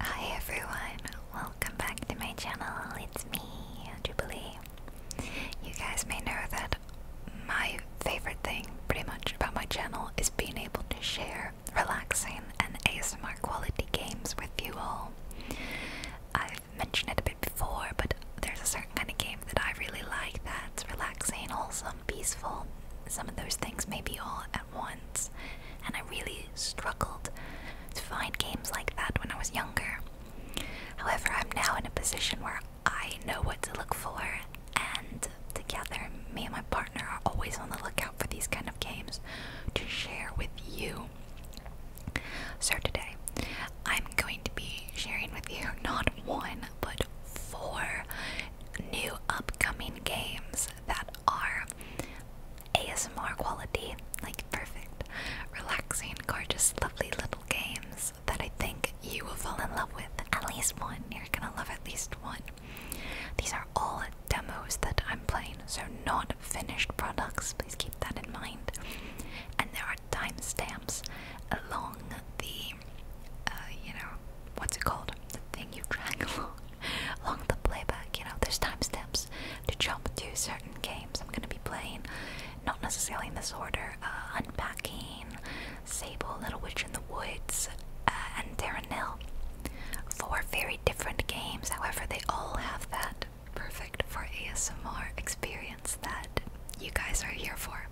Hi everyone, welcome back to my channel. It's me, Jubilee. You guys may know that my favorite thing, pretty much, about my channel is being able to share relaxing and ASMR quality games with you all. I've mentioned it a bit before, but there's a certain kind of game that I really like that's relaxing, wholesome, peaceful. Some of those things may be all once, and I really struggled to find games like that when I was younger. However, I'm now in a position where I know what to look for, and together, me and my partner are always on the lookout for these kind of games to share with you. So, today, I'm going to be sharing with you not one but four new upcoming games that are ASMR quality, like perfect, relaxing, gorgeous, lovely little games that I think you will fall in love with. At least one. You're gonna love at least one. These are all demos that I'm playing, so not finished products. Please keep that in mind. And there are timestamps along the, uh, you know, what's it called? The thing you drag along. along the playback, you know, there's timestamps to jump to certain games I'm gonna be playing, not necessarily in this order. Uh, Unpacking, Sable, Little Witch in the Woods, uh, and Darrenil. Four very different games, however, they all have that perfect for ASMR experience that you guys are here for.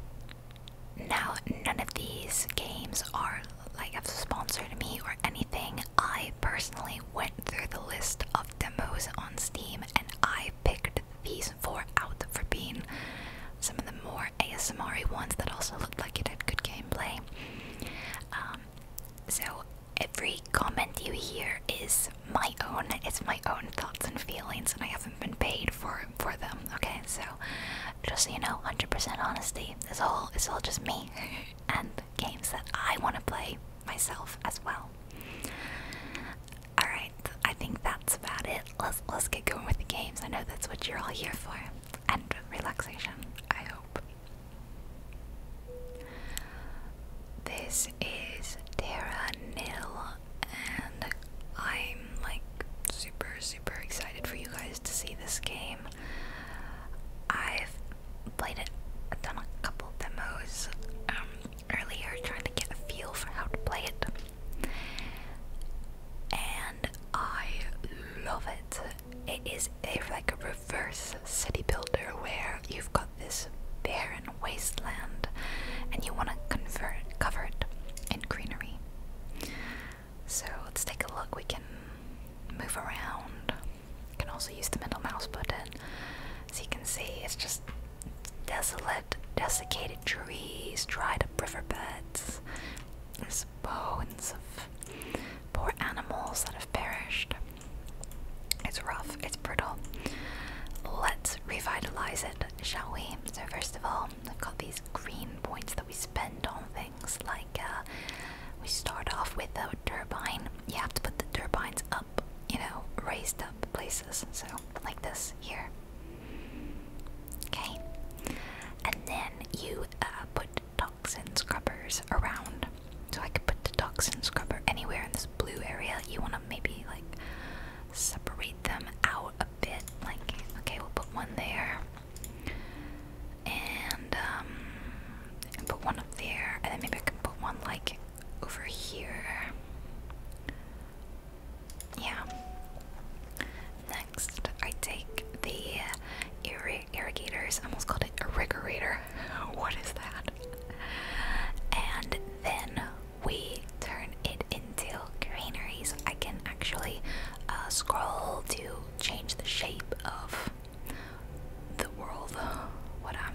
Now, none of these games are like have sponsored me or anything. I personally went through the list of demos on Steam and I picked these four out for being some of the more ASMR ones that also looked like it had good gameplay. Um, so every comment you hear is my own. It's my own thoughts and feelings, and I haven't been paid for for them. Okay, so just so you know, 100% honesty. It's all it's all just me and games that I want to play myself as well. All right, I think that's about it. Let's let's get going with the games. I know that's what you're all here for, and relaxation. I hope. This is Terra Nil, and I'm like super super excited for you guys to see this game. I've played it, I've done a couple demos um, earlier trying to get a feel for how to play it. And I love it. It is a, like a reverse city builder where you've got this barren wasteland and you want to convert cover it in greenery. So let's take a look. We can move around. You can also use the middle mouse button. As you can see, it's just desolate, desiccated trees, dried up riverbeds. There's bones of poor animals that have perished. It's rough, it's brutal. Let's revitalize it, shall we? So, first of all, I've got these green points we spend on things. Like uh, we start off with a turbine. You have to put the turbines up, you know, raised up places. So like this here. Okay, and then you uh, put toxin scrubbers around. So I could put the toxin scrubber anywhere in this blue area. You want to maybe like separate them out a bit. Like okay, we'll put one there. Um, and put one up there and then maybe I can put one like over here yeah next I take the irrigators I almost called it irrigator what is that and then we turn it into granaries. I can actually uh, scroll to change the shape of the world, what um,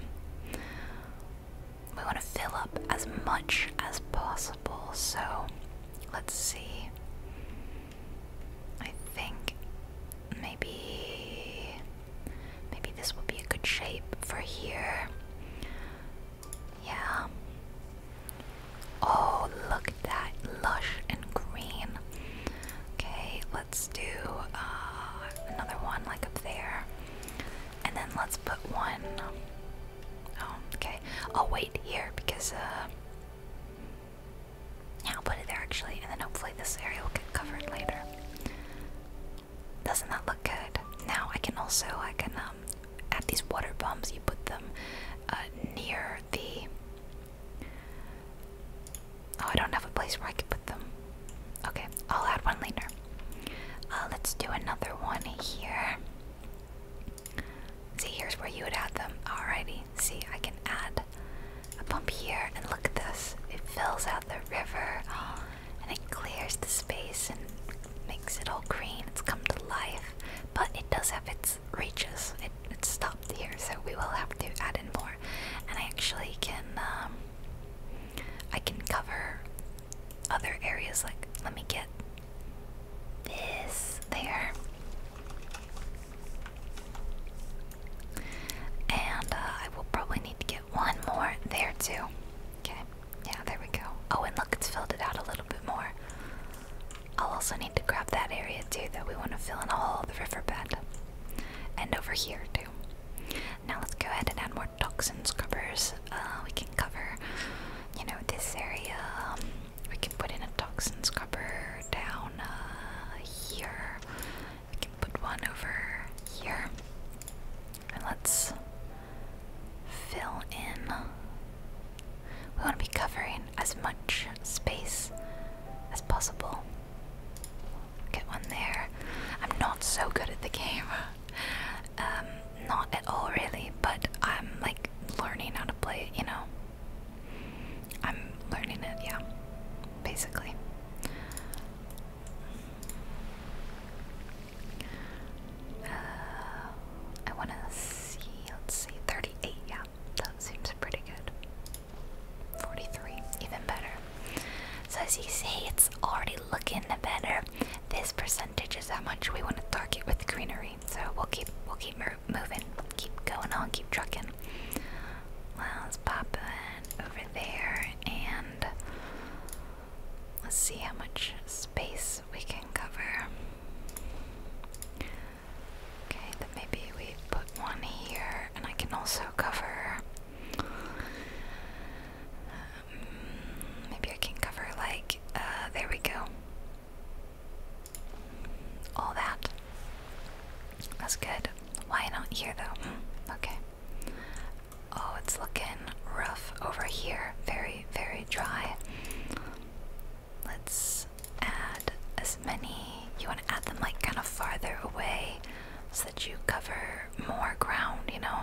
we want to fill up as much as possible. So let's see. I think maybe maybe this would be a good shape for here. Yeah. Oh, look at that lush and green. Okay, let's do uh, another one like up there. And then let's put one. Oh, okay. I'll wait here because, uh, Yeah, I'll put it there actually, and then hopefully this area will get covered later. Doesn't that look good? Now I can also, I can, um, at these water bombs, you put them uh, near the Oh, I don't have a place where I could put them. Okay, I'll add one later. Uh, let's do another one here. See, here's where you would add them. Alrighty, see, I can add a pump here, and look at this. It fills out the river, and it clears the space and makes it all green. It's come to life, but it does have its reaches. It, it's stopped here, so we will have to add in more and I actually can um, I can cover other areas. Like, let me get this there, and uh, I will probably need to get one more there too. Okay, yeah, there we go. Oh, and look, it's filled it out a little bit more. I'll also need to grab that area too that we want to fill in all the riverbed and over here too. Now let's go ahead and add more toxin scrubbers. Uh, we can cover, you know, this area. we can put in a toxin scrubber down uh, here. We can put one over here. And let's fill in. We want to be covering as much space as possible. Get one there. I'm not so good at the game. Um, not at all really, but I'm like learning how to play it, you know. I'm learning it, yeah. Basically. Uh, I wanna see, let's see, 38, yeah. That seems pretty good. 43, even better. So as you see, it's already looking better. This percentage is how much we want to target with greenery. So we'll keep we'll keep moving, keep going on, keep trucking. Well, let's pop it over there and let's see how much space we can cover. Okay, then maybe we put one here, and I can also cover. Um, maybe I can cover like uh, there we go. All that. That's good. Why not here though? Hmm, okay. Oh, it's looking rough over here. Very, very dry. Let's add as many you want to add them like kind of farther away so that you cover more ground, you know?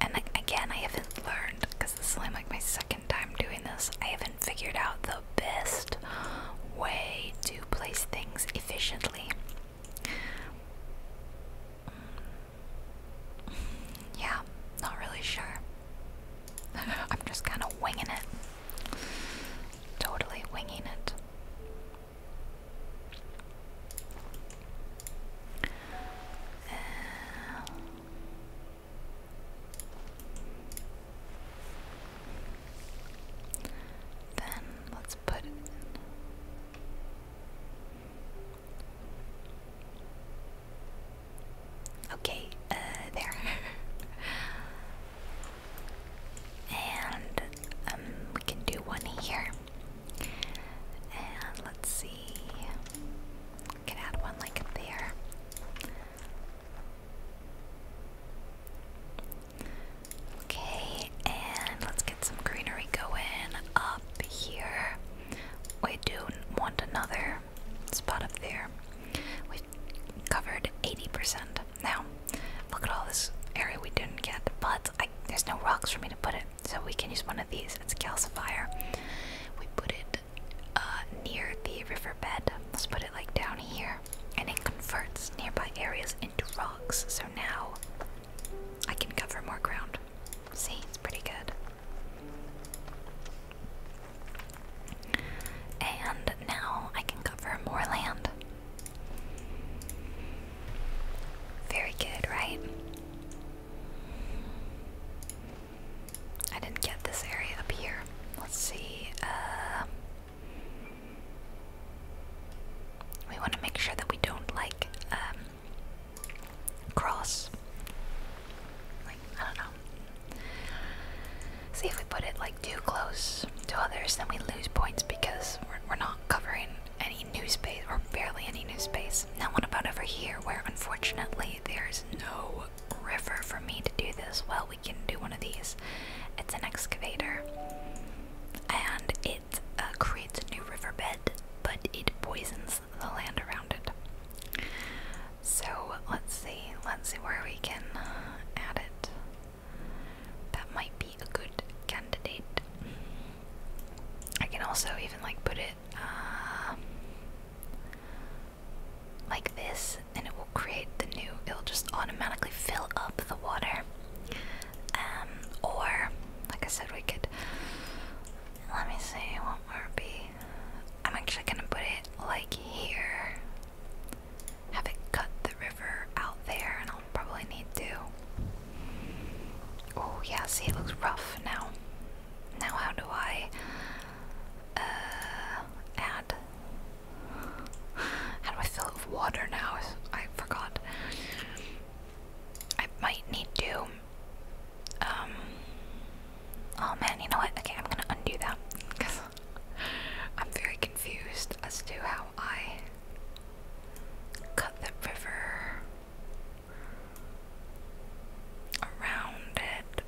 And like, again, I haven't learned because this is like my second time doing this. I haven't figured out the best way to place things efficiently. Mm. Yeah, not really sure. I'm just kind of winging it totally winging it. Uh, then let's put Okay, uh, there. And um, we can do one here. And let's see. can add one like there. Okay, and let's get some greenery going up here. We do want another spot up there. We've covered 80%. Now, look at all this area we didn't get, but I, there's no rocks for me to put it, so we can use one of these. It's a calcifier. We put it uh, near the riverbed. Let's put it like down here, and it converts nearby areas into rocks. So now I can cover more ground. See, it's pretty good. And now I can cover more land. Very good, right? I didn't get this area up here. Let's see. Uh, we want to make sure that we don't like um, cross. I don't know. See if we put it like too close to others, then we lose points because we're, not covering any new space or barely any new space. Now, what about over here where unfortunately there's no river for me to do this? Well, we can do one of these. It's an excavator and it uh, creates a new riverbed, but it poisons the land around it. So, let's see. Let's see where we can add it that might be a good candidate. I can also even like put it um, like this, and it will create the new. It'll just automatically fill up the water. Um, or like I said, we could. Let me see what would be. I'm actually gonna put it like here, have it cut the river out there, and I'll probably need to. Oh, yeah, see, it looks rough now. Now, how do I uh, add? How do I fill with water now? I forgot. I might need to. Um. Oh man, you know what? Okay, I'm gonna undo that because I'm very confused as to how I cut the river around it.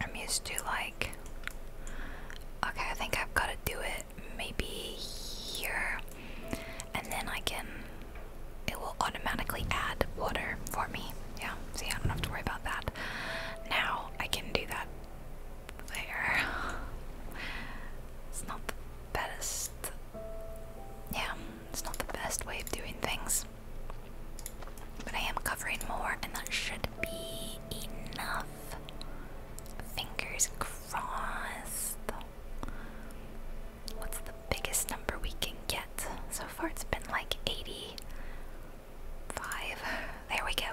I'm used to like, okay, I think I've got to do it maybe here, and then I can, it will automatically add water for me. Yeah, see, I don't have to worry about that. Now I can do that there. It's not the best. Yeah, it's not the best way of doing things. But I am covering more, and that should be enough. Fingers crossed. What's the biggest number we can get? So far, it's been like 85. There we go.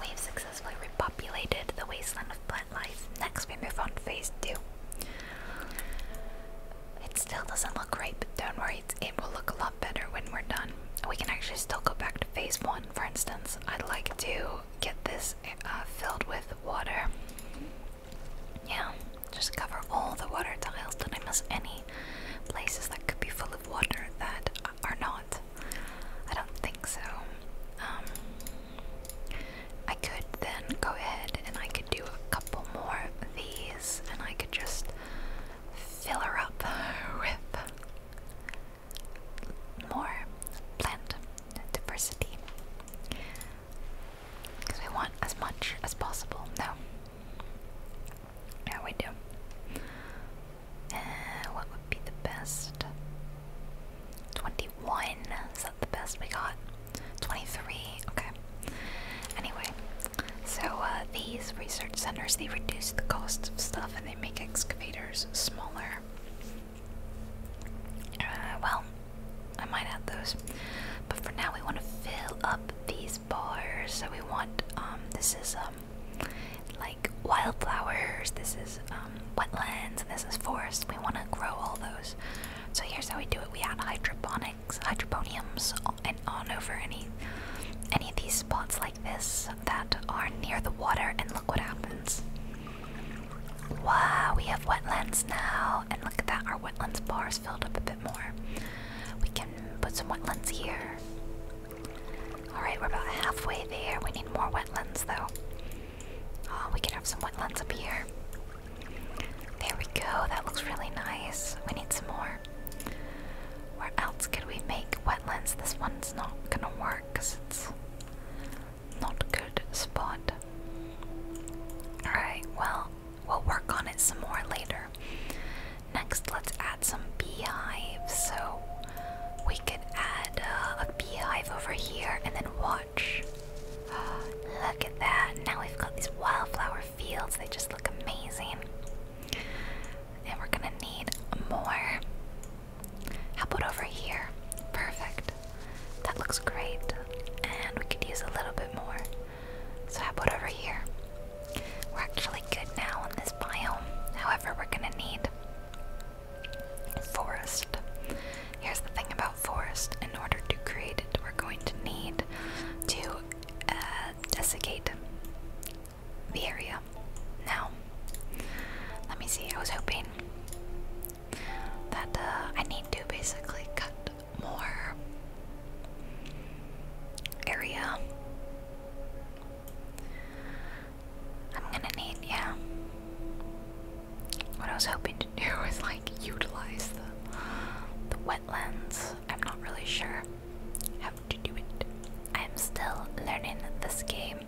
We have successfully repopulated the wasteland of plant life. Next, we move on to phase two. It still doesn't look great, but don't worry, it will look a lot better when we're done. We can actually still go back to phase one, for instance. I'd like to get this uh, filled with water. Yeah, just cover all the water tiles. Did I miss any places that could be full of water that are not? I don't think so. Um, I could then go ahead and I could do a couple more of these and I could just fill her up with more plant diversity. Because we want as much as possible. No. Yeah, we do. Eh, what would be the best? 21. Is that the best we got? 23. Okay. Anyway, so uh, these research centers, they reduce the cost of stuff and they make excavators smaller. Uh, well, I might add those. But for now, we want to fill up these bars. So we want, um, this is, um, like wildflowers, this is um, wetlands, and this is forest. We want to grow all those. So here's how we do it. We add hydroponics, hydroponiums and on over any any of these spots like this that are near the water and look what happens. Wow, we have wetlands now and look at that, our wetlands bar is filled up a bit more. We can put some wetlands here. Alright, we're about halfway there. We need more wetlands though. Oh, we can have some wetlands up here. There we go, that looks really nice. We need some more. Where else could we make wetlands? This one's not gonna work because it's not a good spot. Alright, well, we'll work on it some more later. Next, let's add some beehives. So we could add uh, a beehive over here and then watch. look at that. Now we've got these wildflower fields. They just look amazing. And we're gonna need more. How about over here? Perfect. That looks great. And we could use a little bit more. So, how about over here? We're actually good now on this biome. However, we're gonna need Forest. Here's the thing about forest. In order to create it, we're going to need to uh, desiccate the area. Now, let me see. I was hoping that uh, I need to basically cut more area. I'm gonna need, yeah what I was hoping to do was like utilize the the wetlands. I'm not really sure how to do it. I'm still learning this game.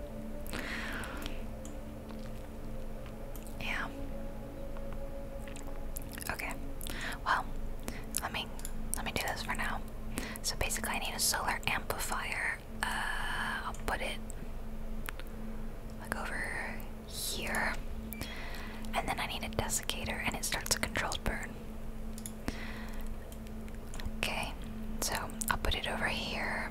Yeah. Okay. Well, let me let me do this for now. So basically I need a solar amplifier uh, I'll put it like over here. And then I need a desiccator, and it starts a controlled burn. Okay, so I'll put it over here.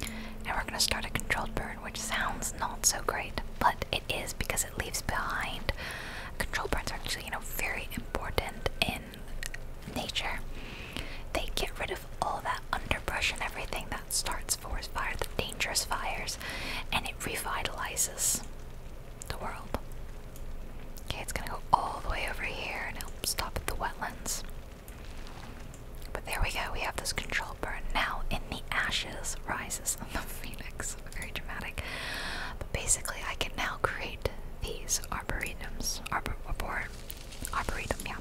And we're gonna start a controlled burn, which sounds not so great, but it is because it leaves behind. Control burns are actually, you know, very important in nature. They get rid of all that underbrush and everything that starts forest fires, the dangerous fires, and it revitalizes the world. Okay, it's gonna go all the way over here and help stop at the wetlands. But there we go, we have this control burn. Now, in the ashes rises the phoenix. Very dramatic. But basically, I can now create these arboretums, arbor, Arboretum, yeah.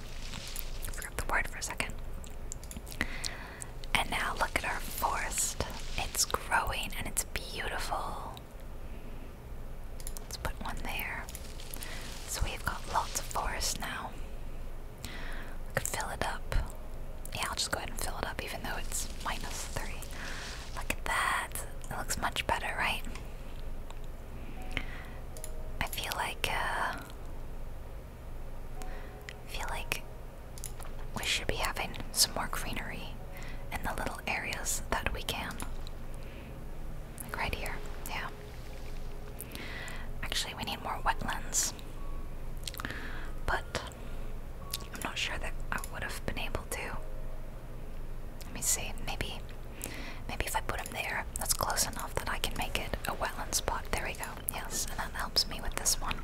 I forgot the word for a second. And now look at our forest. It's growing and it's beautiful. Let's put one there. So we've got lots of forest now. We could fill it up. Yeah, I'll just go ahead and fill it up even though it's minus three. Look at that. It looks much better, right? I feel like uh, feel like we should be having some more greenery in the little areas that we can. Like right here, yeah. Actually, we need more wetlands. But I'm not sure that I would have been able to. Let me see, maybe maybe if I put them there, that's close enough that I can make it a wetland spot. There we go yes, and that helps me with this one.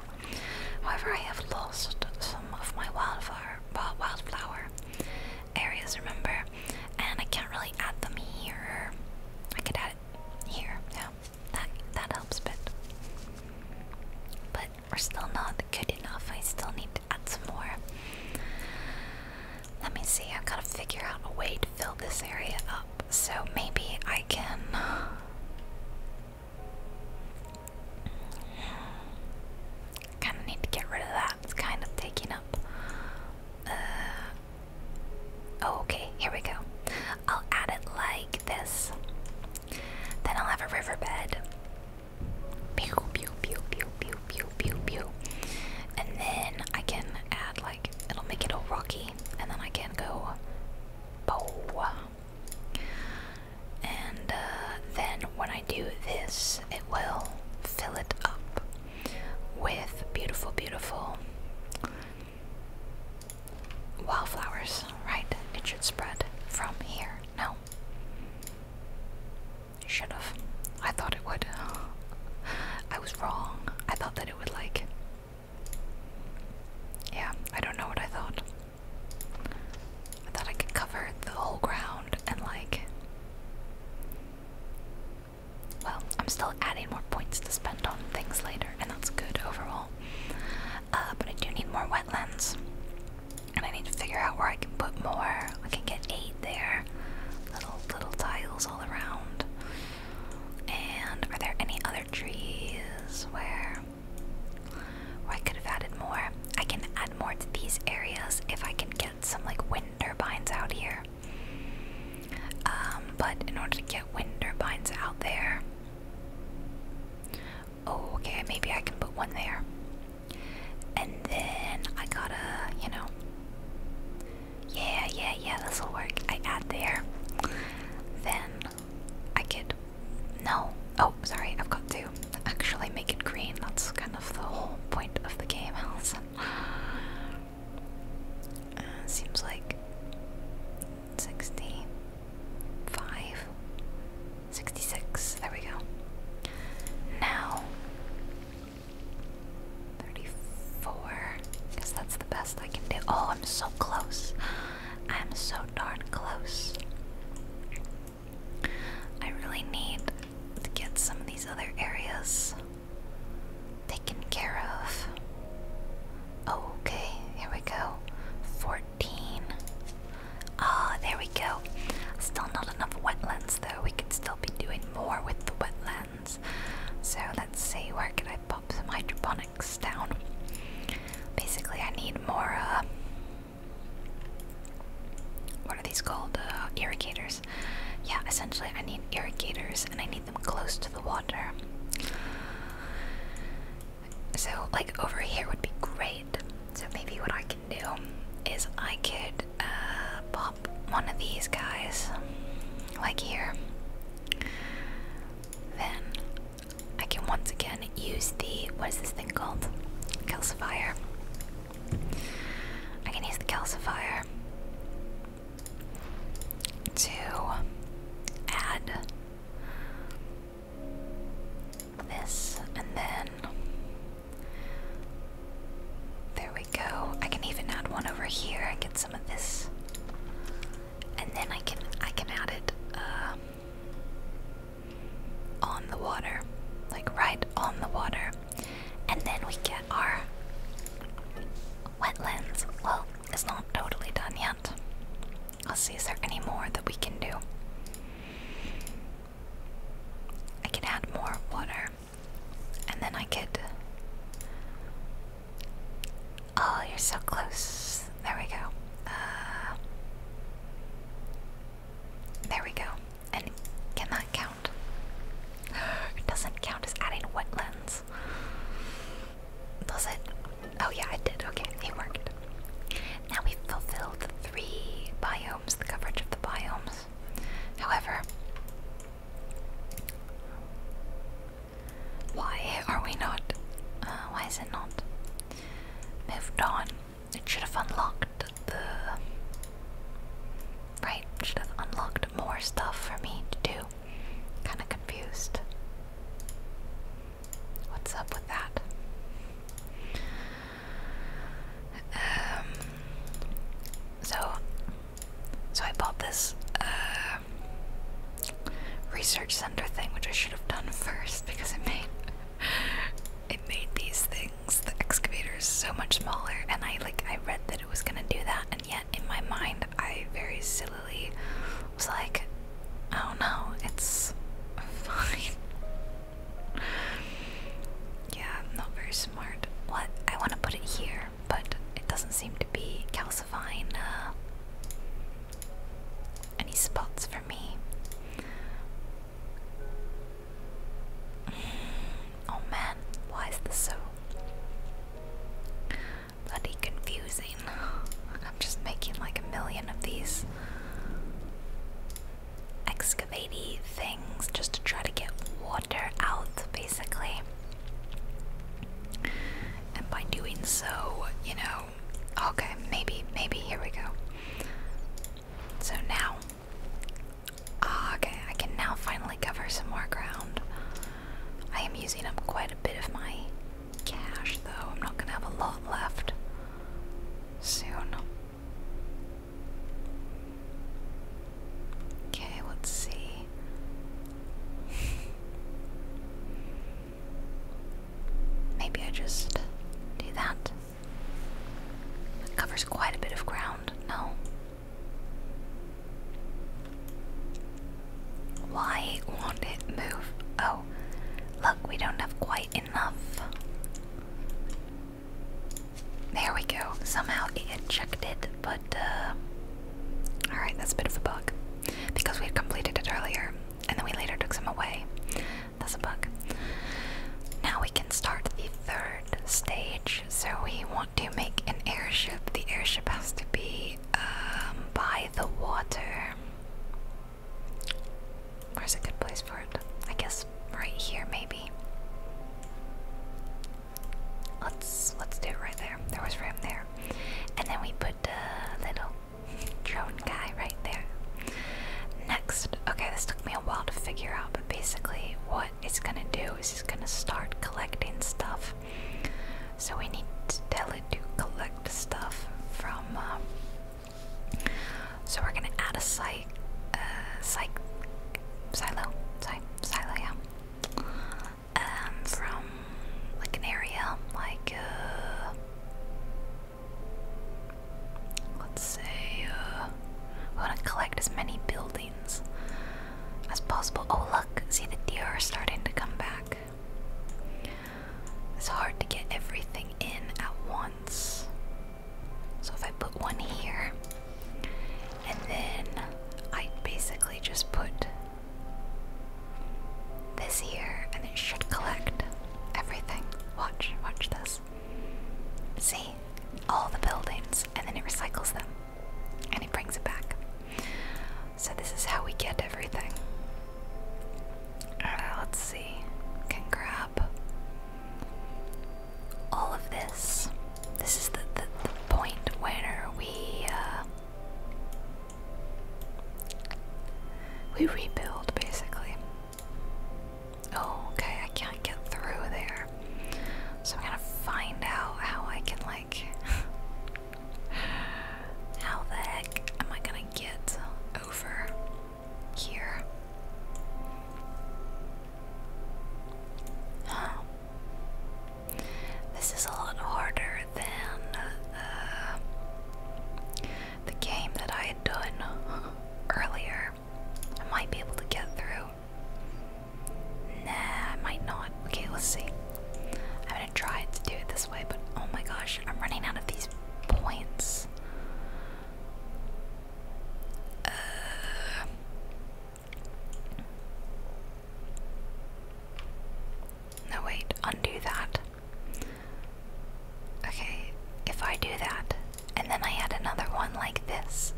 However, I have lost some of my wildfire, wildflower areas, remember, and I can't really add them here. I could add it here, yeah, that, that helps a bit. But we're still not good enough, I still need to add some more. Let me see, I've got to figure out a way to fill this area up so maybe I can. Kind of need to get rid of that. It's kind of taking up. Uh, oh, okay, here we go. I'll add it like this. Then I'll have a riverbed. Pew pew pew pew pew pew pew. And then I can add like it'll make it all rocky and then I can go bow. And uh, then when I do this, it will fill it up with beautiful, beautiful wildflowers, right? It should spread from here. No. Should have. I thought it would. I was wrong. I thought that it would like yeah, I don't know what I thought. I thought I could cover the whole ground and, like. Well, I'm still adding more points to spend on things later, and that's good overall. Uh, but I do need more wetlands. And I need to figure out where I can put more. I can get eight there. Little little tiles all around. And are there any other trees where, where I could have added more. I can add more to these areas if I can get some like wind turbines out here. Um, but in order to get wind turbines out there, oh okay, maybe I can put one there. And then I gotta, you know, yeah, yeah, yeah, this will work. I add there. Then I could. No. Oh, sorry, I've got to actually make it green. That's kind of the whole point of the game, Allison. Uh, seems like 65, 66. There we go. Now. 34 because that's the best I can do. Oh, I'm so close. I'm so darn close. I really need to get some of these other areas taken care of. Oh, okay, here we go. 14. Ah, oh, there we go. Still not enough wetlands though. We could still be doing more with the wetlands. So let's see, where can I pop some hydroponics down. Basically, I need more, uh, what are these called? Uh, irrigators. Yeah, essentially, I need irrigators and I need them close to the water. So, like, over here would be great. So, maybe what I can do is I could uh, pop one of these guys, like here then I can once again use the what is this thing called? Calcifier. I can use the calcifier to add this and then there we go. I can even add one over here and get some of this and then I can I can add it um, on the water, like right on the water, and then we get our wetlands. Well, it's not totally done yet. I'll see, is there any more that we can do? I can add more water, and then I could. Oh, you're so close. There we go. Uh, there we go. And cannot count. it doesn't count as adding wetlands. Does it? Oh yeah, it did. Okay, it worked. Now we've fulfilled three biomes, the coverage of the biomes. However, why are we not? Uh, why is it not moved on? It should have unlocked the. Right, should have unlocked more stuff for me to do. Kinda confused. What's up with that? Um, so, so I bought this uh, research center thing, which I should have done first because it made it made these things, the excavators, so much smaller. And I like I read that it was gonna do that, and yet in my mind I very sillily was like, oh no, it's fine. yeah, I'm not very smart. What I want to put it here, but it doesn't seem to be calcifying. Uh, any spots for me? Oh man, why is this so bloody confusing? I'm just making like a million of these excavating things just to try to get water out, basically. And by doing so, you know, Oh, okay, maybe, maybe, here we go. So now, ah, okay, I can now finally cover some more ground. I am using up quite a bit of my cash, though. I'm not gonna have a lot left soon. Okay, let's see. Maybe I just do that. It covers quite a bit of ground, no? Why won't it move? Oh, look, we don't have quite enough. There we go. Somehow it but uh. Alright, that's a bit of a bug. Because we completed it earlier and then we later took some away. That's a bug. Now we can start the third stage. So we want to make an airship. The airship has to be um, by the water. Where's a good place for it? I guess right here, maybe. Let's let's do it right there. There was room there, and then we put a little drone guy right there. Next, okay, this took me a while to figure out, but basically, what it's gonna do is it's gonna start collecting stuff. So we need to tell it to collect stuff from. Um, so we're gonna add a site, uh, site, silo, psych, silo, yeah. Um, from like an area, like uh, let's say uh, we want to collect as many buildings as possible. Oh look, see the deer are starting to come back. It's hard to get everything in at once. So if I put one here, and then I basically just put this year and it should collect everything. Watch, watch this. See? All the buildings and then it recycles them and it brings it back. So this is how we get everything. All uh, let's see. Can grab all of this. This is the, the, the point where we uh, we rebuild basically. Oh, okay, I can't get through there. So I'm gonna find out how I can, like. how the heck am I gonna get over here? This is a lot harder than. Uh, the game that I had done earlier. I might be able to get through. Nah, I might not. Okay, let's see. I'm gonna try to do it this way, but oh my gosh, I'm running out of these points. Uh. no, wait, undo that. Okay, if I do that, and then I add another one like this,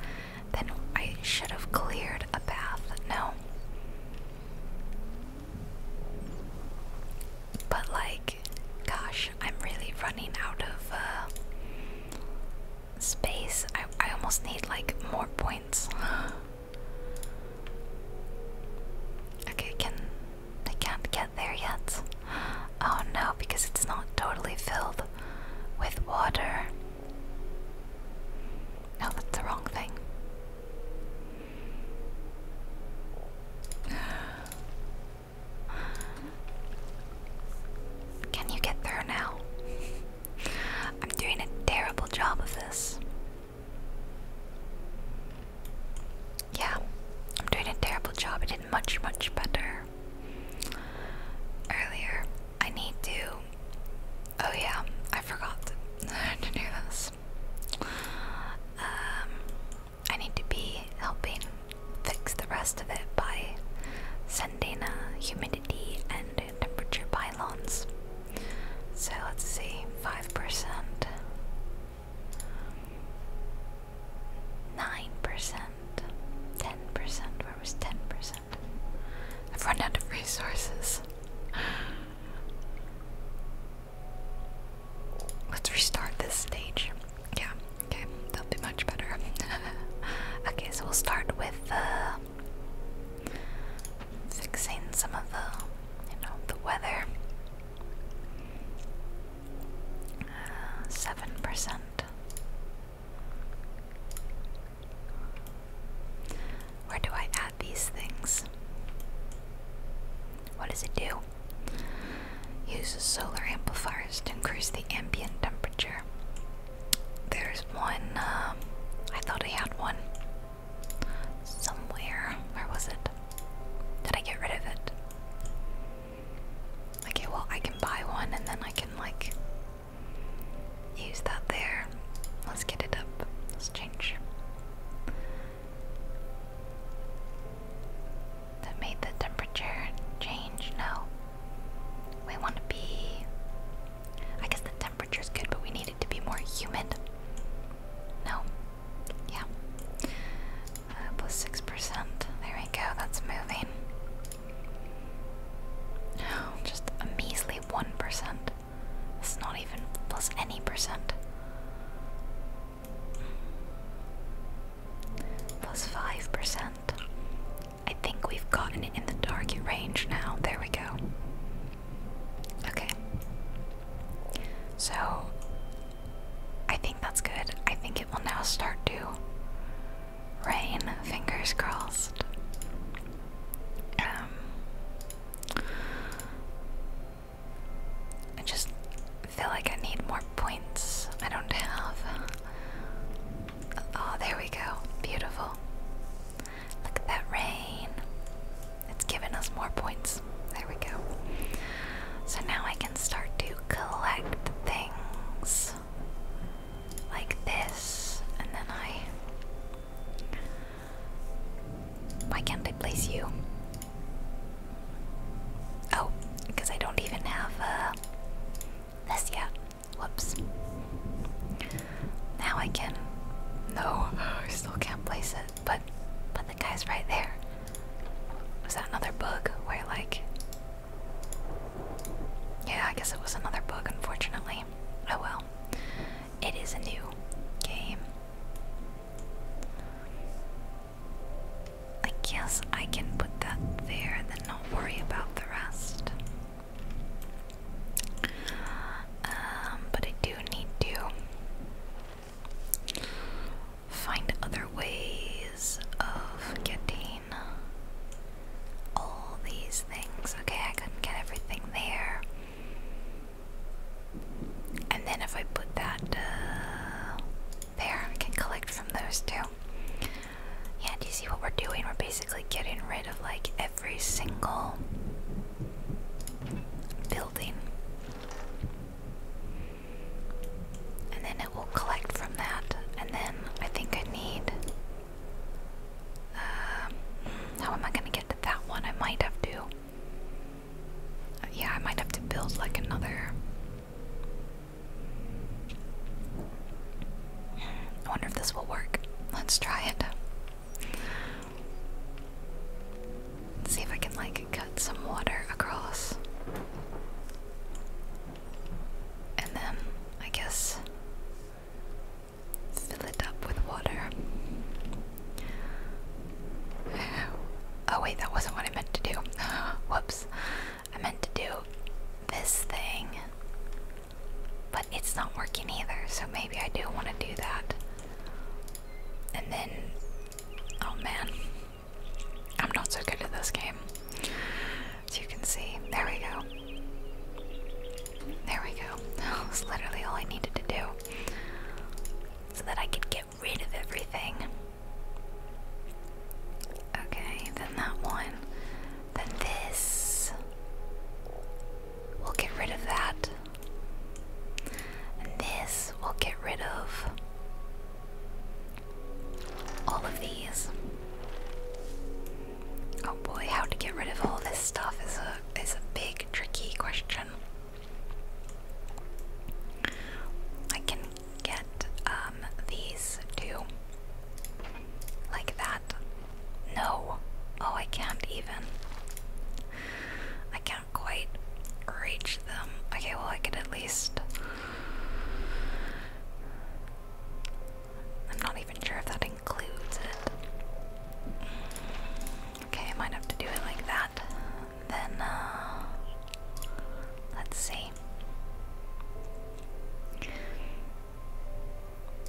then I should have cleared a path. No. But, like, gosh, I'm really running out of uh, space. I, I almost need, like, more points. okay, can. I can't get there yet. Oh no, because it's not totally filled with water. No, oh, that's the wrong thing. Can you get through now? I'm doing a terrible job of this. Yeah, I'm doing a terrible job. I did much, much better earlier. I need to. Oh, yeah, I forgot to do this. Um, I need to be helping fix the rest of it by sending a humidity and temperature pylons. So let's see, 5%. Nine percent, ten percent. Where was ten percent? I've run out of resources. Let's restart this stage. Yeah, okay, that'll be much better. okay, so we'll start with uh, fixing some of the, you know, the weather. Seven percent. Where do I add these things? What does it do? Uses solar amplifiers to increase the ambient temperature. There's one, um, I thought I had one somewhere. Where was it? Did I get rid of it? Okay, well, I can buy one and then I can, like, use that there. Let's get it up. Let's change. That made the temperature change? No. We want to be. I guess the temperature's good, but we need it to be more humid. No, yeah. Uh, plus 6%. There we go, that's moving. just a measly 1%. It's not even plus any percent. Plus 5%. I think we've gotten in the target range now. There we go. Okay. So, I think that's good. I think it will now start to rain, fingers crossed. Um, I just feel like I need more points. I don't have. Oh, there we go. Beautiful. Look at that rain. It's given us more points there we go. So now I can start to collect things like this, and then I. Why can't I place you? Oh, because I don't even have uh, this yet. Whoops. Now I can. No, I still can't place it but but the guy's right there. Was that another bug where like Yeah, I guess it was another bug unfortunately. Oh well. It is a new game. I guess I can put that there and then not worry about the rest. Um, but I do need to find other ways of getting all these things. Okay, I couldn't get everything there. And then if I put that uh, there, I can collect from those too. Yeah, do you see what we're doing? We're basically getting rid of like every single building. And then it will collect from that. And then I think I need. Um, how am I going to get to that one? I might have to. yeah, I might have to build like another. I wonder if this will work. Let's try it. Let's see if I can like cut some water across. And then I guess fill it up with water. Oh wait, that wasn't what I meant to do. Whoops. I meant to do this thing. But it's not working either, so maybe I do want to do that. And then, oh man, I'm not so good at this game. As you can see, there we go. There we go. That was literally all I needed to do. So that I could get rid of everything. Okay, then that one. Then this. We'll get rid of that. And this we'll get rid of all of these. Oh boy, how to get rid of all this stuff is a is a big tricky question. I can get um, these two like that. No. Oh, I can't even. I can't quite reach them. Okay, well I can at least I'm not even sure if that includes it. Okay, I might have to do it like that. Then, uh, let's see.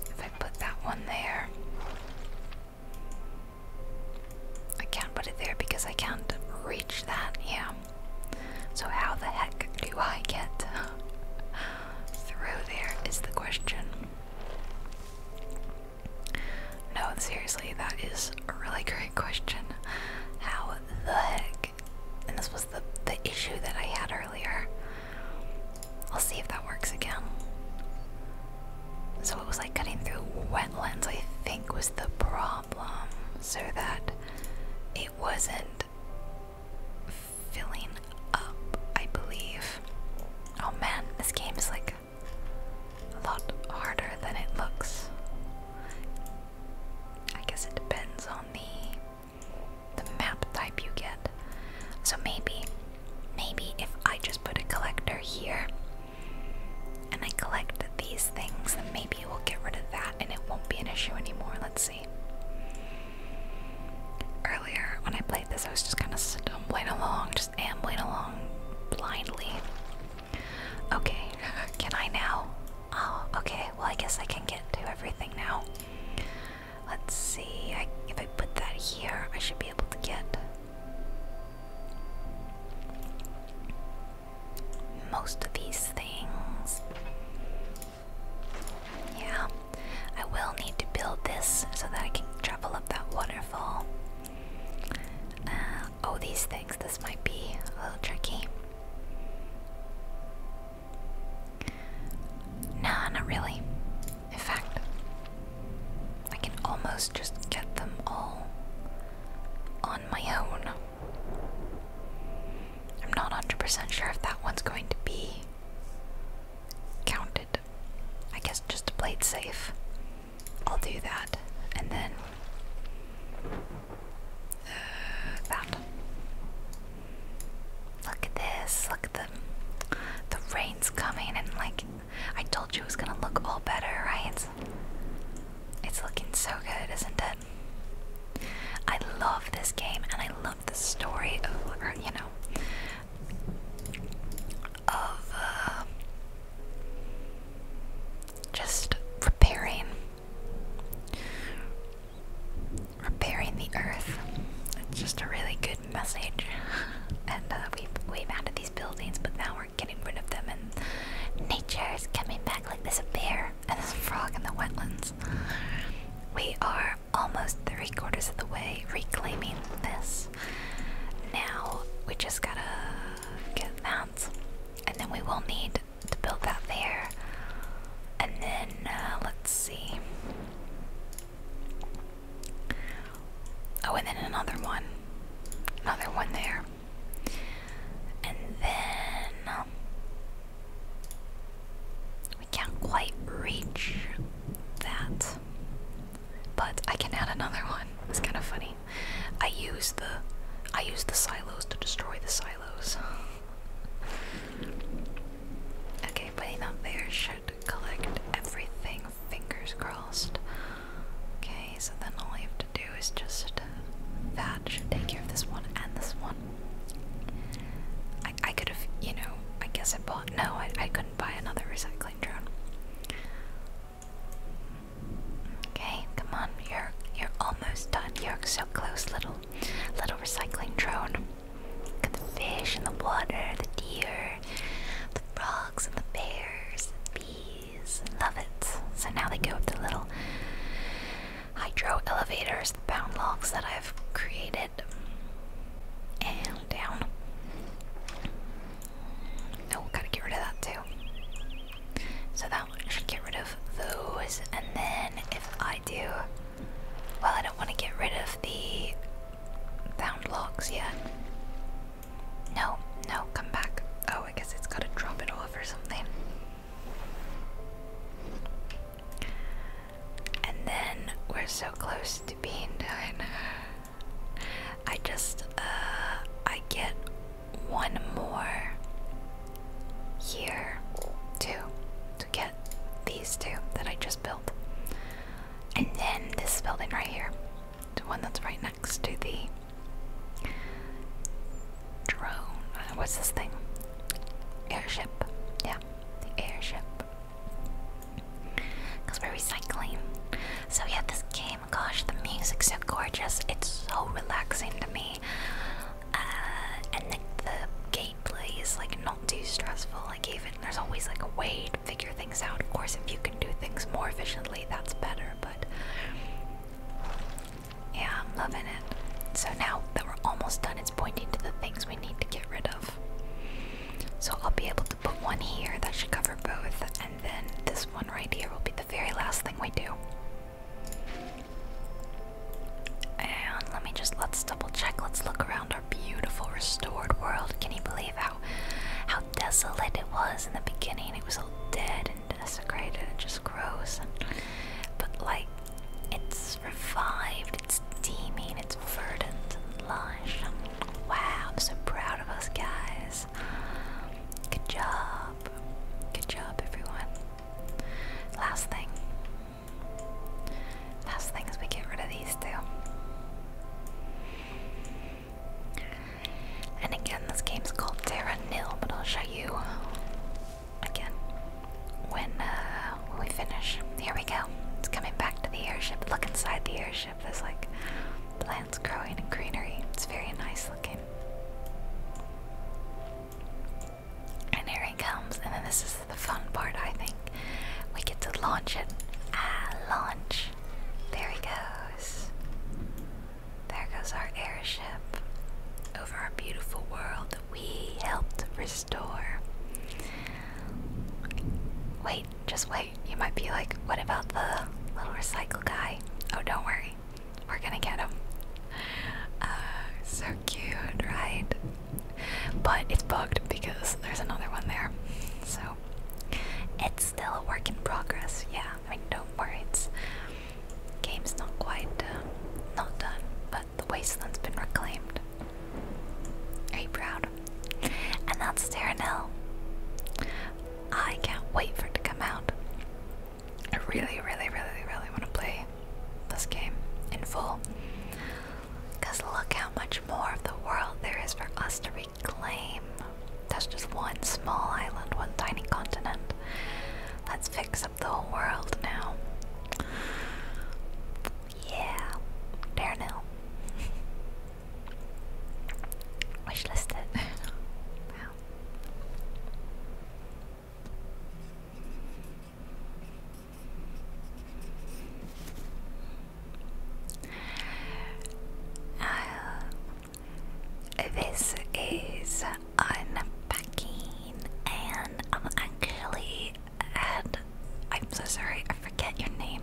If I put that one there, I can't put it there because I can't reach that. Yeah. So, how the heck do I get through there is the question. No, seriously, that is a really great question. How the heck? And this was the, the issue that I had earlier. I'll see if that works again. So, it was like cutting through wetlands, I think, was the problem so that it wasn't filling up, I believe. Oh man, this game is like a lot harder than it looks. I guess it depends on the the map type you get. So maybe maybe if I just put a collector here and I collect these things, then maybe we will get rid of that and it won't be an issue anymore. Let's see. Earlier, when I played this, I was just kind of stumbling along, just ambling along blindly. Okay, can I now? Oh, okay, well, I guess I can get to everything now. Let's see, if I put that here, I should be able to get most of these things. Yeah, I will need to build this so that I can travel up that waterfall. Uh, oh, these things, this might be a little tricky. Nah, not really. In fact, I can almost just get them all on my own. I'm not 100% sure if that one's going to be counted. I guess just to play it safe, I'll do that. And then uh, that. Look at this. Look at the the rain's coming, and like I told you, it was gonna look all better, right? It's looking so good, isn't it? I love this game and I love the story of, you know, of uh, just repairing, repairing the earth. It's just a really good message. and uh, we've, we've added these buildings, but now we're getting rid of them and nature is coming back like this a bear and this frog in the wetlands. We are almost three quarters of the way reclaiming this. Now we just gotta get that, and then we will need to build that there. And then uh, let's see. Oh, and then another one, another one there, and then we can't quite reach that. But I can add another one. It's kind of funny. I use the I use the silos to destroy the silos. okay, putting that there should collect everything, fingers crossed. Okay, so then all I have to do is just uh, that should take care of this one and this one. I, I could have, you know, I guess I bought. No, I, I couldn't buy another recycling drone. Okay, come on, you're you're almost done. You're so close, little little recycling drone. Look at the fish and the water, the deer, the frogs and the bears, the bees. Love it. So now they go up the little hydro elevators, the bound logs that I've created. And down. Oh, gotta get rid of that too. So that one should get rid of those. And then if I do, well, I don't want to get rid of the bound logs yet. No, no, come back. Oh, I guess it's gotta drop it off or something. And then we're so close to being done. I just, uh, I get one more here, too, to get these two that I just built. And then this building right here, the one that's right next to the drone. Uh, what's this thing? Airship. Yeah, the airship. Because we're recycling. So, yeah, this game, gosh, the music's so gorgeous. It's so relaxing to me. Uh, and the gameplay is like not too stressful. Like, even there's always like a way to figure things out. Of course, if you can do things more efficiently, that's better, but yeah, I'm loving it. So now that we're almost done, it's pointing to the things we need to get rid of. So I'll be able to put one here that should cover both, and then this one right here will be the very last thing we do. And let me just let's double check. Let's look around our beautiful restored world. Can you believe how how desolate it was in the beginning? It was all dead and desecrated and just gross. And, but like it's revived, it's teeming, it's verdant and lush. Wow, I'm so proud of us guys. Good job. Good job, everyone. Last thing. Last thing is we get rid of these two. And again, this game's called Terra Nil, but I'll show you again when uh, when we finish. Here we go. It's coming back to the airship. Look inside the airship. There's like plants growing and greenery. It's very nice looking. And here it comes. And then this is the fun part. I think we get to launch it. Ah, launch. There he goes. There goes our airship over our beautiful world we helped restore. Wait, just wait. You might be like, what about the little recycle guy? Oh, don't worry. We're gonna get him. Uh, so cute, right? But it's booked because there's another one there. So it's still a work in progress. Yeah, I mean, don't worry. It's game's not quite uh, not done, but the wasteland's been reclaimed. Are you proud? And that's Terranel. I can't wait for it to come out. I really, really, really, really want to play this game in full. Because look how much more of the world there is for us to reclaim. That's just one small island, one tiny continent. Let's fix it up the whole world now. Yeah, there now. Wish listed. wow. Uh, this is unpacking, and I'm actually and I'm so sorry, I forget your name.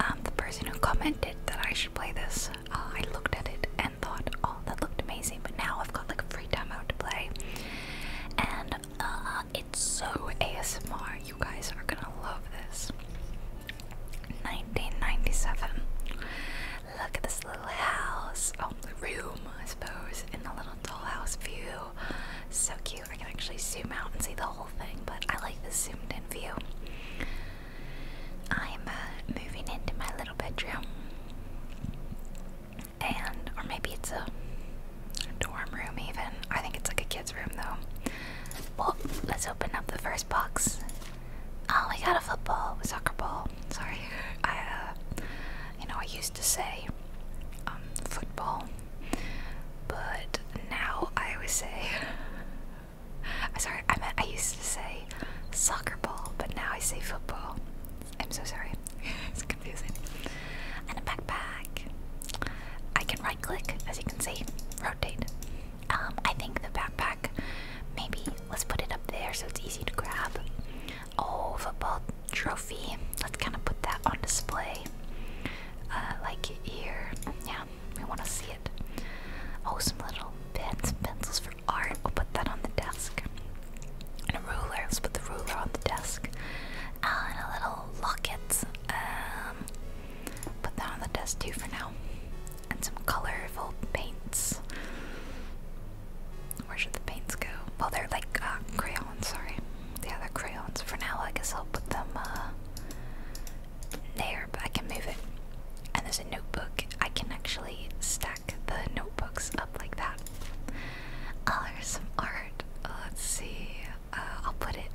Um, the person who commented that I should play this, uh, I looked at it and thought, oh, that looked amazing, but now I've got like a free out to play. And uh, it's so ASMR, you guys are gonna love this. 1997. Look at this little house, oh, the room, I suppose, in the little little dollhouse view. So cute. I can actually zoom out and see the whole thing, but I like the zoomed in view. I'm uh, moving into my little bedroom. And, or maybe it's a dorm room, even. I think it's like a kid's room, though. Well, let's open up the first box. Oh, we got a football, soccer ball. Sorry, I, uh, you know, I use to say um, football, but now I always say. Sorry, I meant I used to say soccer ball, but now I say football. I'm so sorry. it's confusing. And a backpack. I can right click, as you can see, rotate. Um, I think the backpack, maybe let's put it up there so it's easy to grab. Oh, football trophy. Let's kind of put that on display. Uh, like here. Yeah, we want to see it. Oh, some little pens and pencils for art. We'll put that on the desk. And a ruler. Let's put the ruler on the desk. Uh, and a little locket. Um, put that on the desk too for now. And some colorful paints. Where should the paints go? Well, they're like uh, crayons, sorry. Yeah, they're crayons. For now, I guess I'll put them uh, there, I can move it. And there's a notebook. I can actually stack the notebooks up like that. Oh, there's some art. Oh, let's see. Uh, I'll put it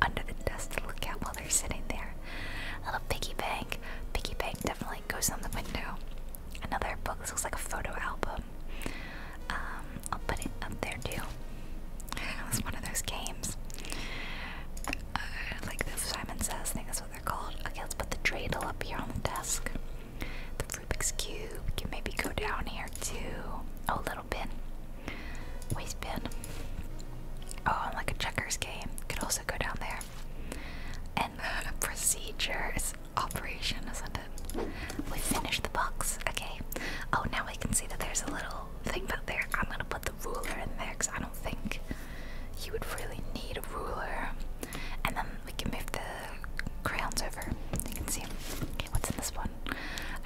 under the desk to look at while they're sitting there. A little piggy bank. Piggy bank definitely goes on the window another book. This looks like a photo album. Um, I'll put it up there too. It's one of those games. Uh, like the Simon Says, I that's what they're called. Okay, let's put the dreidel up here on the desk. The Rubik's Cube. can maybe go down here too. Oh, little bin. Waste bin. Oh, like a checkers game. Could also go down there. And procedures operation, isn't it? We finished the box, okay. Oh, now we can see that there's a little thing back there. I'm gonna put the ruler in there because I don't think you would really need a ruler. And then we can move the crayons over. You can see. Okay, what's in this one?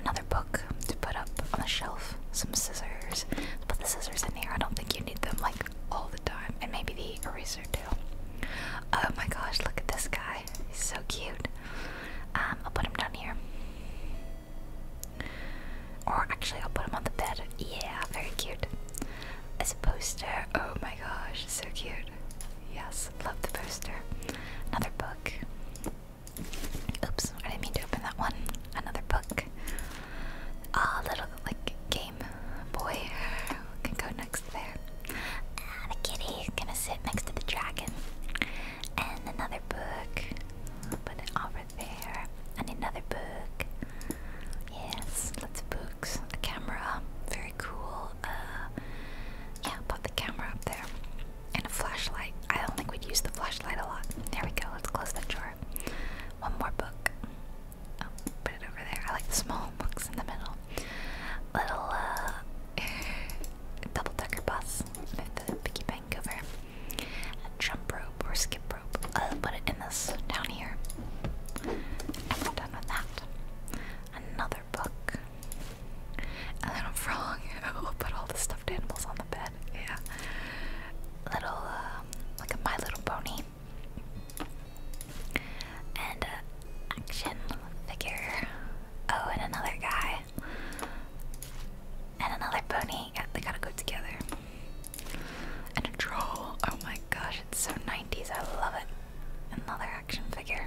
Another book to put up on the shelf. Some scissors. put the scissors in here. I don't think you need them like all the time. And maybe the eraser too. Oh my gosh, look at this guy. He's so cute. Um, I'll put him down here. Or actually, I'll put him on the bed. Yeah, very cute. As a poster. Oh my gosh, so cute. Yes, love the poster. Another book. Oops, I didn't mean to open that one. Another book. Ah, oh, little like Game Boy can go next there. Uh, the kitty is gonna sit next to the dragon. And another book. Put it over there. And another book. Yes, lots of books. A camera. Very cool. Uh, yeah, put the camera up there. And a flashlight. I don't think we'd use the flashlight a lot. There we go. Let's close the drawer. One more book. Oh, put it over there. I like the small books in the middle. Little uh, double decker bus, move the piggy bank over, a jump rope or skip rope. I'll put it in this down here. done with that. Another book. A little frog. We'll put all the stuffed animals on the bed. Yeah. Little, um, like My Little Pony. And uh, action figure. Oh, and another guy. And another pony. Yeah, they gotta go together. And a troll. Oh my gosh, it's so 90s. I love it. Another action figure.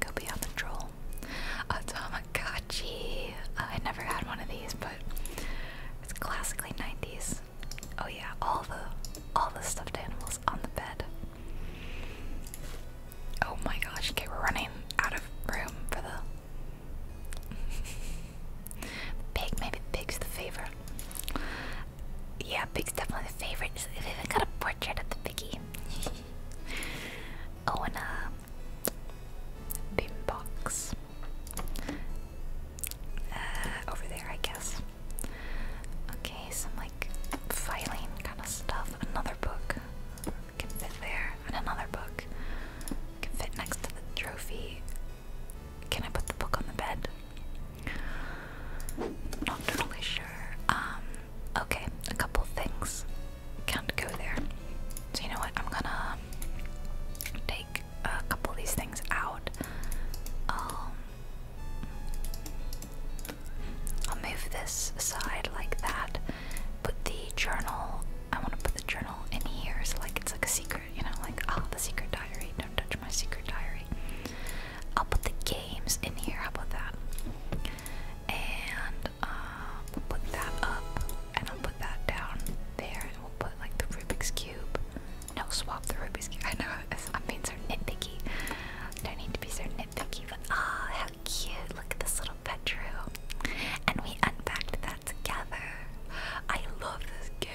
Go be on the troll. A Tamagotchi. Oh, I never had one of these, but it's classically 90s. Oh yeah, all the all the stuffed animals on the bed. Oh my gosh, okay, we're running out of room for the pig. Maybe pig's the favorite. Yeah, pig's definitely the favorite. They've even got a portrait of the piggy. oh, and a uh, boombox. Uh, over there, I guess. Okay, some like filing kind of stuff. Another book can fit there, and another book can fit next to the trophy. Can I put the book on the bed? Not totally sure. Um, okay, a couple things can't go there. So you know what? I'm gonna take a couple of these things out. Um, I'll move this aside like that. Put the journal, I want to put the journal in here so like it's like a secret, you know, like, oh, the secret diary, don't touch my secret diary. I'll put the games in here, how about that? And uh, we'll put that up, and I'll put that down there, and we'll put like the Rubik's Cube. No, swap the Rubik's Cube. I know, I'm being so nitpicky. Don't need to be so thank you for oh, how cute. Look at this little bedroom. And we unpacked that together. I love this game.